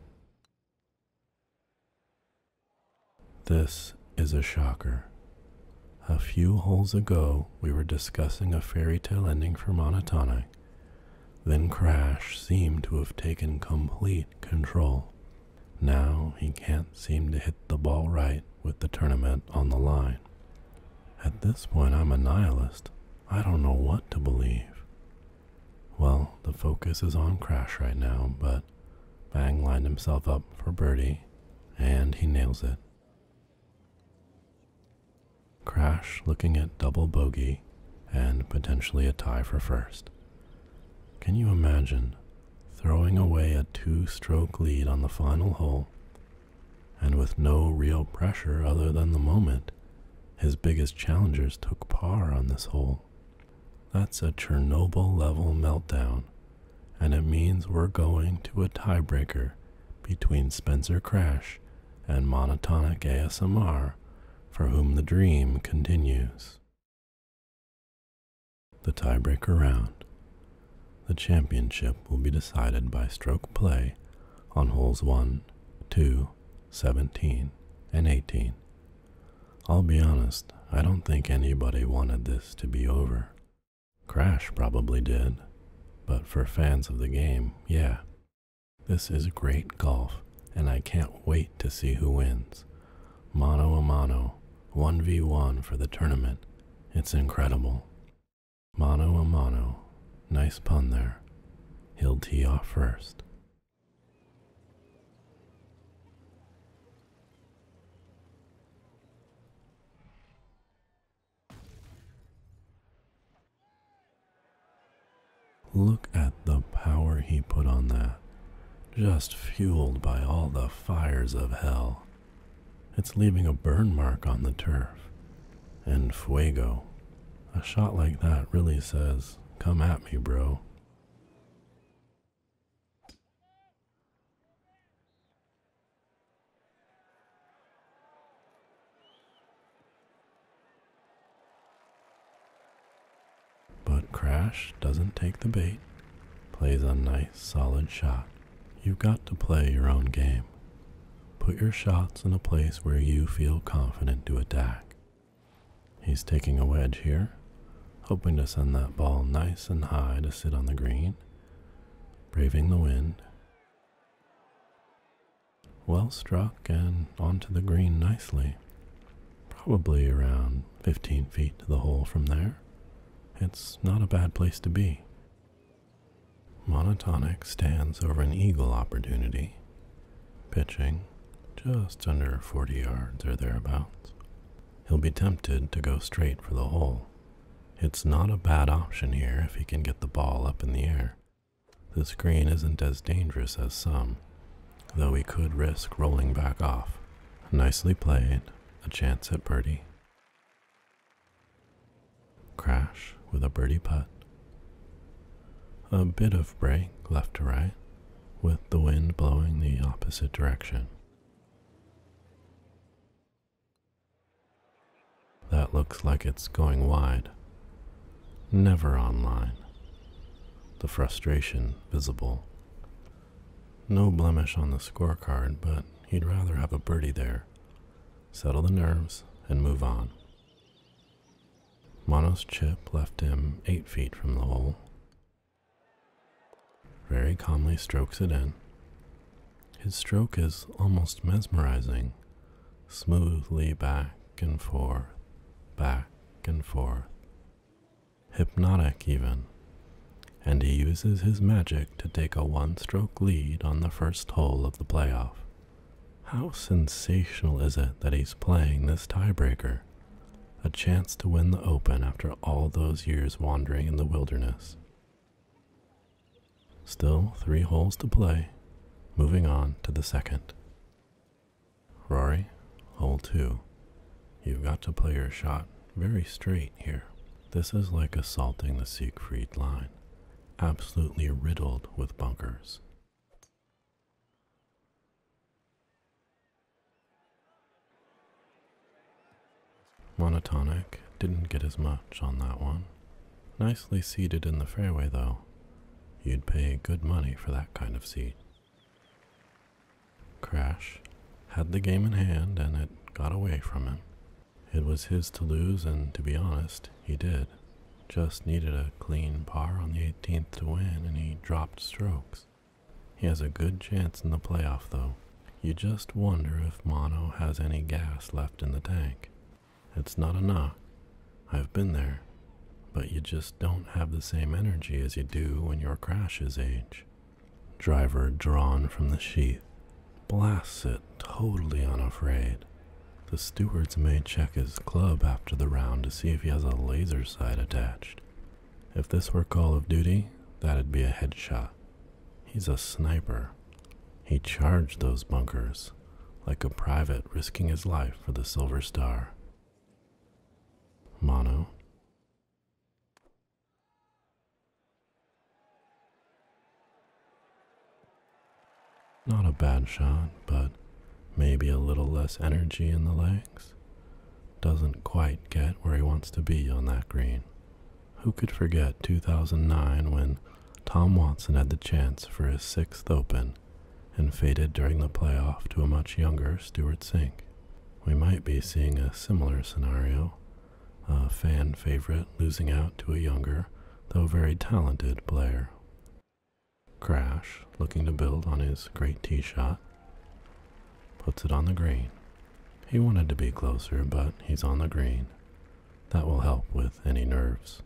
A: This is a shocker. A few holes ago, we were discussing a fairy tale ending for Monotonic. Then Crash seemed to have taken complete control. Now he can't seem to hit the ball right with the tournament on the line. At this point, I'm a nihilist. I don't know what to believe. Well, the focus is on Crash right now, but Bang lined himself up for birdie, and he nails it. Crash, looking at double bogey, and potentially a tie for first. Can you imagine throwing away a two stroke lead on the final hole and with no real pressure other than the moment? His biggest challengers took par on this hole. That's a Chernobyl level meltdown, and it means we're going to a tiebreaker between Spencer Crash and Monotonic ASMR for whom the dream continues. The tiebreaker round. The championship will be decided by stroke play on holes 1, two, seventeen, and 18. I'll be honest, I don't think anybody wanted this to be over. Crash probably did, but for fans of the game, yeah, this is great golf, and I can't wait to see who wins. Mono a mano, 1v1 for the tournament. It's incredible. Mono a mano, nice pun there. He'll tee off first. Look at the power he put on that, just fueled by all the fires of hell. It's leaving a burn mark on the turf. And fuego. A shot like that really says, Come at me, bro. But Crash doesn't take the bait, plays a nice solid shot. You've got to play your own game. Put your shots in a place where you feel confident to attack. He's taking a wedge here, hoping to send that ball nice and high to sit on the green, braving the wind. Well struck and onto the green nicely probably around 15 feet to the hole from there. It's not a bad place to be. Monotonic stands over an eagle opportunity, pitching just under 40 yards or thereabouts. He'll be tempted to go straight for the hole. It's not a bad option here if he can get the ball up in the air. The screen isn't as dangerous as some, though he could risk rolling back off. Nicely played, a chance at birdie. Crash with a birdie putt. A bit of break left to right, with the wind blowing the opposite direction. That looks like it's going wide. Never on line the frustration visible. No blemish on the scorecard, but he'd rather have a birdie there, settle the nerves, and move on. Mono's chip left him eight feet from the hole. Very calmly strokes it in. His stroke is almost mesmerizing, smoothly back and forth, back and forth hypnotic even, and he uses his magic to take a one stroke lead on the first hole of the playoff. How sensational is it that he's playing this tiebreaker? A chance to win the Open after all those years wandering in the wilderness. Still three holes to play, moving on to the second. Rory, hole two. You've got to play your shot very straight here. This is like assaulting the Siegfried line, absolutely riddled with bunkers. Monotonic didn't get as much on that one. Nicely seated in the fairway though. You'd pay good money for that kind of seat. Crash had the game in hand and it got away from him. It was his to lose, and to be honest, he did. Just needed a clean par on the 18th to win, and he dropped strokes. He has a good chance in the playoff, though. You just wonder if Mono has any gas left in the tank. It's not a knock. I've been there but you just don't have the same energy as you do when your crash is age. Driver drawn from the sheath, blasts it totally unafraid. The stewards may check his club after the round to see if he has a laser sight attached. If this were Call of Duty, that'd be a headshot. He's a sniper. He charged those bunkers, like a private risking his life for the Silver Star. Mono, not a bad shot, but maybe a little less energy in the legs. Doesn't quite get where he wants to be on that green. Who could forget 2009 when Tom Watson had the chance for his sixth Open and faded during the playoff to a much younger Stewart Sink? we might be seeing a similar scenario a fan favorite losing out to a younger, though very talented, player. Crash, looking to build on his great tee shot, puts it on the green. He wanted to be closer, but he's on the green. That will help with any nerves.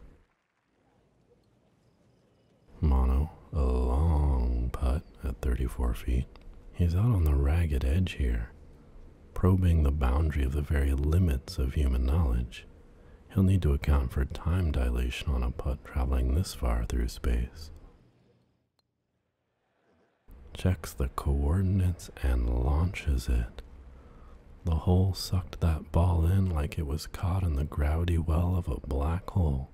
A: Mono, a long putt at 34 feet. He's out on the ragged edge here, probing the boundary of the very limits of human knowledge. He'll need to account for time dilation on a putt traveling this far through space. Checks the coordinates and launches it. The hole sucked that ball in like it was caught in the gravity well of a black hole.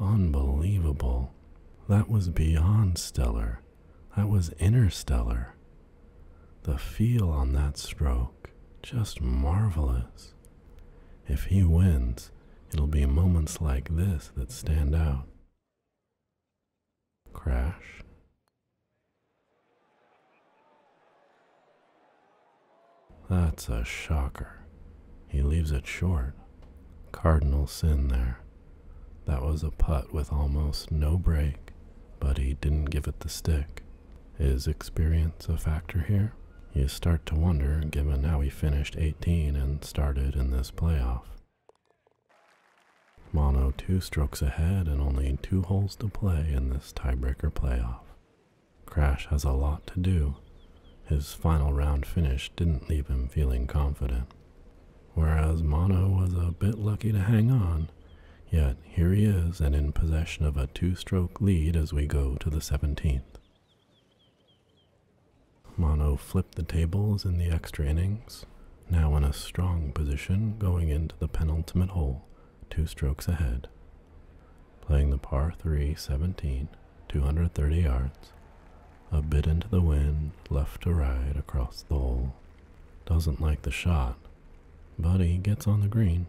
A: Unbelievable. That was beyond stellar. That was interstellar. The feel on that stroke, just marvelous. If he wins, it'll be moments like this that stand out. Crash. That's a shocker. He leaves it short cardinal sin there. That was a putt with almost no break, but he didn't give it the stick. Is experience a factor here? You start to wonder given how he finished 18 and started in this playoff. Mono two strokes ahead and only two holes to play in this tiebreaker playoff. Crash has a lot to do, his final round finish didn't leave him feeling confident. Whereas Mono was a bit lucky to hang on, yet here he is and in possession of a two stroke lead as we go to the 17th. Mono flipped the tables in the extra innings, now in a strong position going into the penultimate hole, two strokes ahead. Playing the par 3 17, 230 yards, a bit into the wind, left to right across the hole. Doesn't like the shot, but he gets on the green.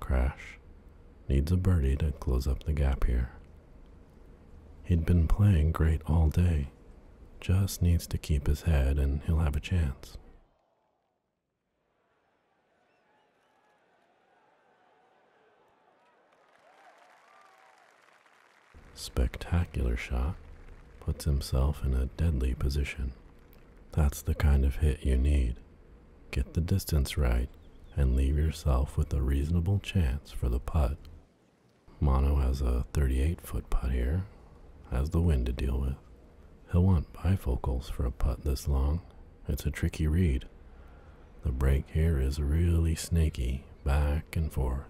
A: Crash. Needs a birdie to close up the gap here. He'd been playing great all day. Just needs to keep his head and he'll have a chance. Spectacular shot puts himself in a deadly position. That's the kind of hit you need. Get the distance right and leave yourself with a reasonable chance for the putt. Mono has a 38 foot putt here, has the wind to deal with. He'll want bifocals for a putt this long, it's a tricky read. The break here is really snaky, back and forth,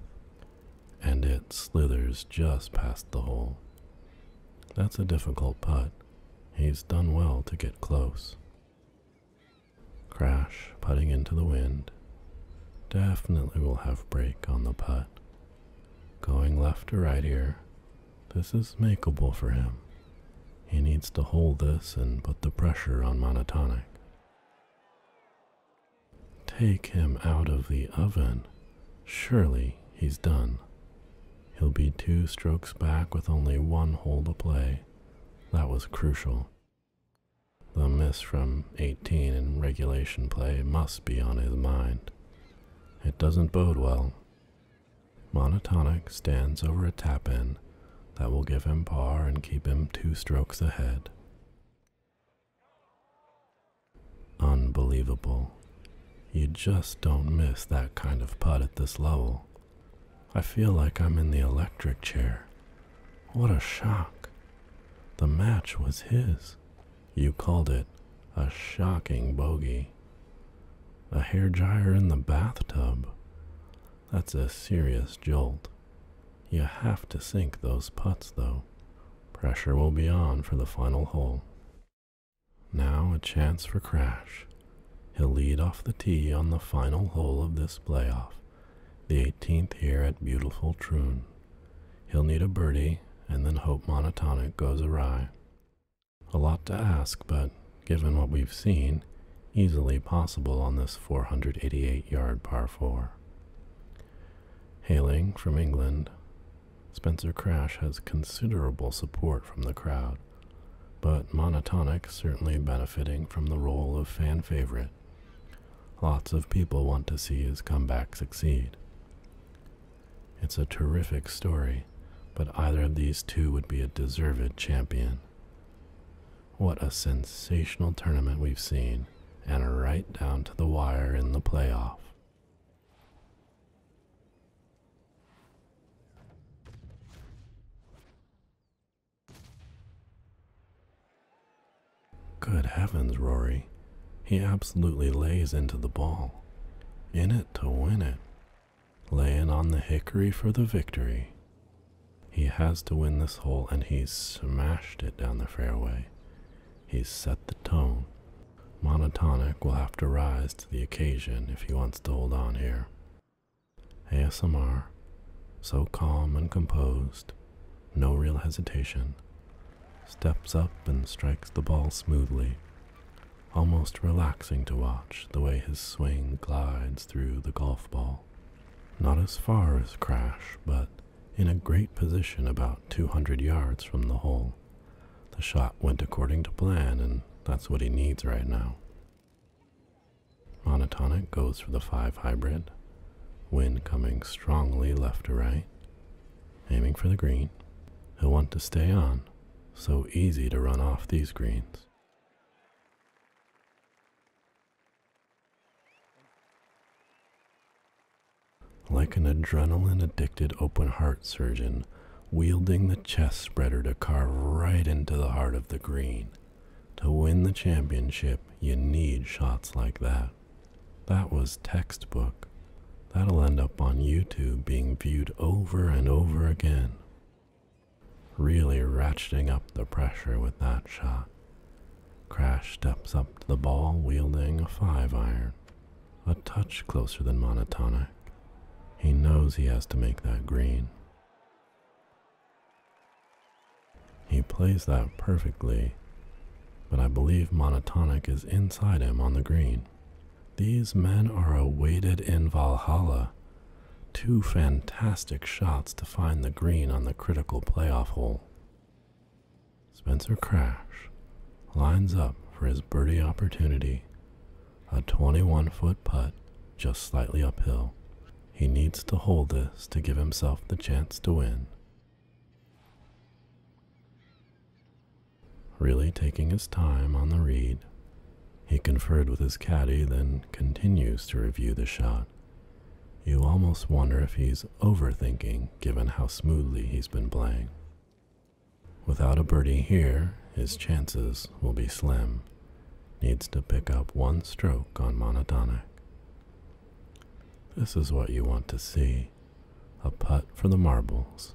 A: and it slithers just past the hole. That's a difficult putt. He's done well to get close. Crash, putting into the wind. Definitely will have break on the putt. Going left to right here. This is makeable for him. He needs to hold this and put the pressure on monotonic. Take him out of the oven. Surely he's done. He'll be two strokes back with only one hole to play. That was crucial. The miss from 18 in regulation play must be on his mind. It doesn't bode well. Monotonic stands over a tap in that will give him par and keep him two strokes ahead. Unbelievable. You just don't miss that kind of putt at this level. I feel like I'm in the electric chair. What a shock. The match was his. You called it a shocking bogey. A hair dryer in the bathtub. That's a serious jolt. You have to sink those putts, though. Pressure will be on for the final hole. Now a chance for Crash. He'll lead off the tee on the final hole of this playoff, the 18th here at beautiful Troon. He'll need a birdie and then hope Monotonic goes awry. A lot to ask, but given what we've seen, easily possible on this 488 yard par 4. Hailing from England, Spencer Crash has considerable support from the crowd, but Monotonic certainly benefiting from the role of fan favorite. Lots of people want to see his comeback succeed. It's a terrific story, but either of these two would be a deserved champion. What a sensational tournament we've seen, and right down to the wire in the playoff. Good heavens, Rory. He absolutely lays into the ball. In it to win it. Laying on the hickory for the victory. He has to win this hole, and he's smashed it down the fairway. He's set the tone. Monotonic will have to rise to the occasion if he wants to hold on here. ASMR, so calm and composed, no real hesitation, steps up and strikes the ball smoothly, almost relaxing to watch the way his swing glides through the golf ball not as far as Crash, but in a great position about 200 yards from the hole. The shot went according to plan, and that's what he needs right now. Monotonic goes for the 5 hybrid, wind coming strongly left to right, aiming for the green. He'll want to stay on, so easy to run off these greens. Like an adrenaline addicted open heart surgeon, wielding the chest spreader to carve right into the heart of the green. To win the championship, you need shots like that. That was textbook. That'll end up on YouTube being viewed over and over again. Really ratcheting up the pressure with that shot. Crash steps up to the ball wielding a five iron, a touch closer than Monotonic. He knows he has to make that green. He plays that perfectly, but I believe Monotonic is inside him on the green. These men are awaited in Valhalla. Two fantastic shots to find the green on the critical playoff hole. Spencer Crash lines up for his birdie opportunity, a 21 foot putt just slightly uphill. He needs to hold this to give himself the chance to win. Really taking his time on the read, he conferred with his caddy, then continues to review the shot. You almost wonder if he's overthinking given how smoothly he's been playing. Without a birdie here, his chances will be slim. Needs to pick up one stroke on monotonic. This is what you want to see a putt for the marbles.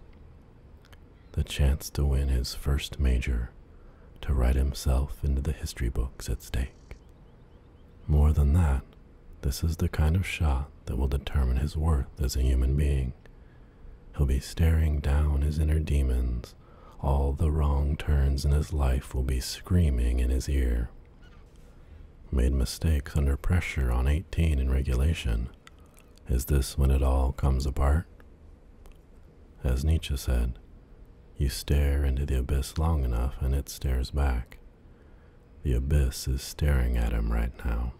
A: The chance to win his first major, to write himself into the history books at stake. More than that, this is the kind of shot that will determine his worth as a human being. He'll be staring down his inner demons. All the wrong turns in his life will be screaming in his ear. Made mistakes under pressure on 18 in regulation. Is this when it all comes apart? As Nietzsche said, you stare into the abyss long enough and it stares back. The abyss is staring at him right now.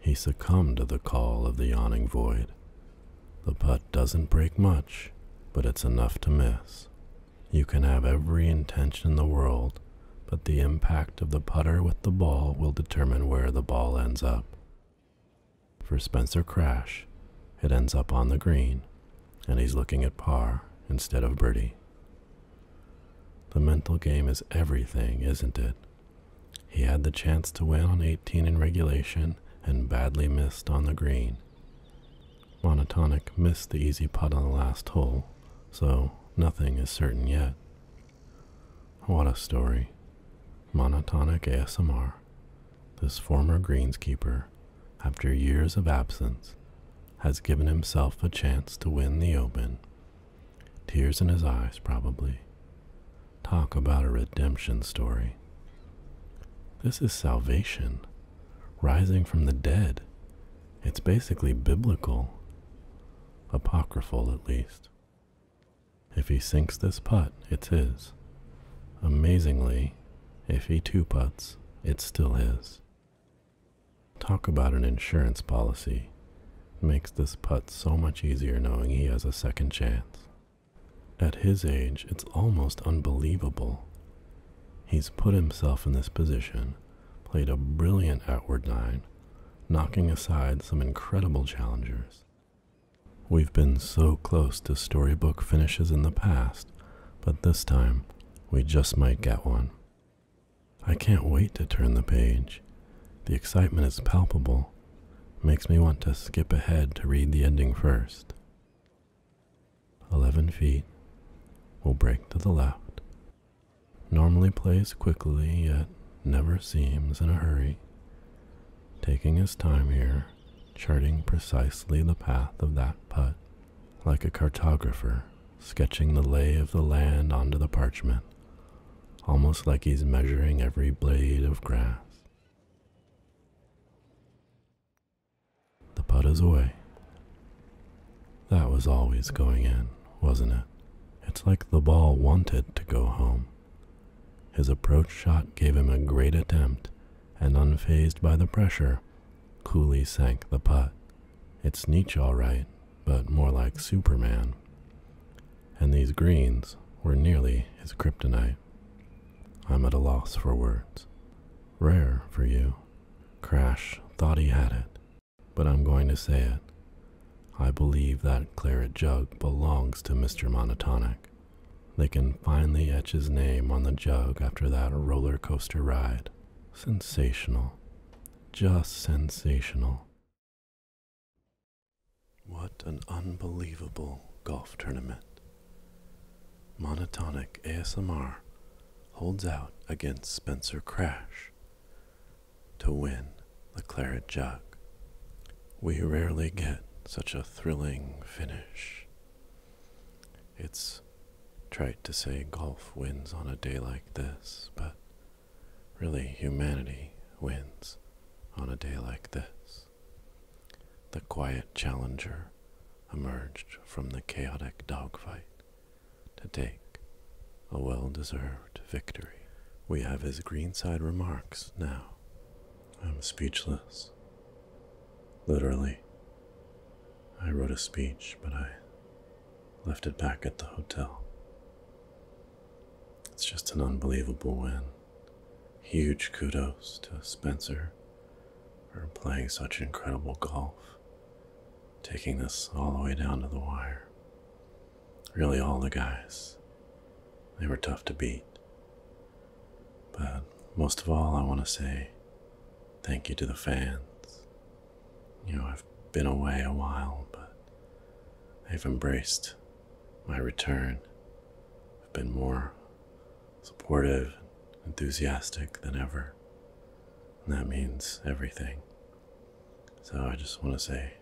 A: He succumbed to the call of the yawning void. The putt doesn't break much, but it's enough to miss. You can have every intention in the world, but the impact of the putter with the ball will determine where the ball ends up. For Spencer Crash, it ends up on the green, and he's looking at par instead of birdie. The mental game is everything, isn't it? He had the chance to win on 18 in regulation and badly missed on the green. Monotonic missed the easy putt on the last hole, so nothing is certain yet. What a story. Monotonic ASMR. This former greenskeeper, after years of absence, has given himself a chance to win the open. Tears in his eyes, probably. Talk about a redemption story. This is salvation, rising from the dead. It's basically biblical, apocryphal at least. If he sinks this putt, it's his. Amazingly, if he two puts it's still his. Talk about an insurance policy. Makes this putt so much easier knowing he has a second chance. At his age, it's almost unbelievable. He's put himself in this position, played a brilliant outward nine, knocking aside some incredible challengers, We've been so close to storybook finishes in the past, but this time we just might get one. I can't wait to turn the page. The excitement is palpable. makes me want to skip ahead to read the ending first. 11 feet. We'll break to the left. Normally plays quickly, yet never seems in a hurry taking his time here, charting precisely the path of that putt, like a cartographer sketching the lay of the land onto the parchment, almost like he's measuring every blade of grass. The putt is away. That was always going in, wasn't it? It's like the ball wanted to go home. His approach shot gave him a great attempt, and unfazed by the pressure, coolly sank the putt. It's Nietzsche, all right, but more like Superman. And these greens were nearly his kryptonite. I'm at a loss for words. Rare for you. Crash thought he had it, but I'm going to say it. I believe that claret jug belongs to Mr. Monotonic. They can finally etch his name on the jug after that roller coaster ride. Sensational. Just sensational. What an unbelievable golf tournament. Monotonic ASMR holds out against Spencer Crash to win the claret jug. We rarely get such a thrilling finish. It's trite to say golf wins on a day like this, but really humanity wins on a day like this. The quiet challenger emerged from the chaotic dogfight to take a well deserved victory. We have his greenside remarks now. I'm speechless. Literally. I wrote a speech, but I left it back at the hotel. It's just an unbelievable win. Huge kudos to Spencer for playing such incredible golf, taking this all the way down to the wire. Really, all the guys. They were tough to beat. But most of all, I want to say thank you to the fans. You know, I've been away a while, but they have embraced my return. I've been more supportive, enthusiastic than ever. And that means everything. So I just want to say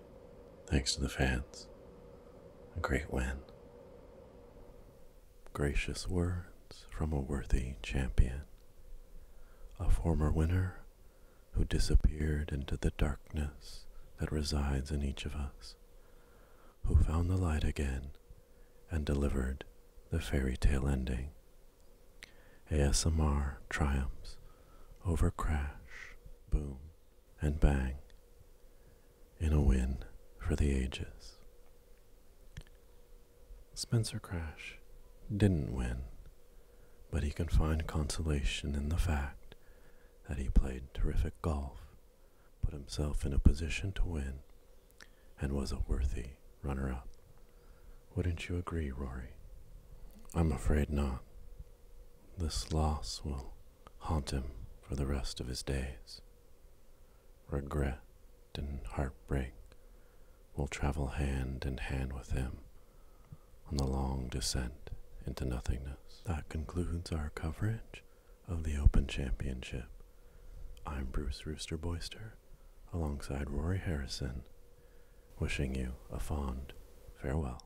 A: thanks to the fans. A great win. Gracious words from a worthy champion, a former winner who disappeared into the darkness that resides in each of us, who found the light again and delivered the fairy tale ending. ASMR triumphs over crash, boom, and bang in a win for the ages. Spencer Crash didn't win, but he can find consolation in the fact that he played terrific golf, put himself in a position to win, and was a worthy runner up. Wouldn't you agree, Rory? I'm afraid not. This loss will haunt him for the rest of his days. Regret and heartbreak will travel hand in hand with him on the long descent into nothingness. That concludes our coverage of the Open Championship. I'm Bruce Rooster Boyster alongside Rory Harrison, wishing you a fond farewell.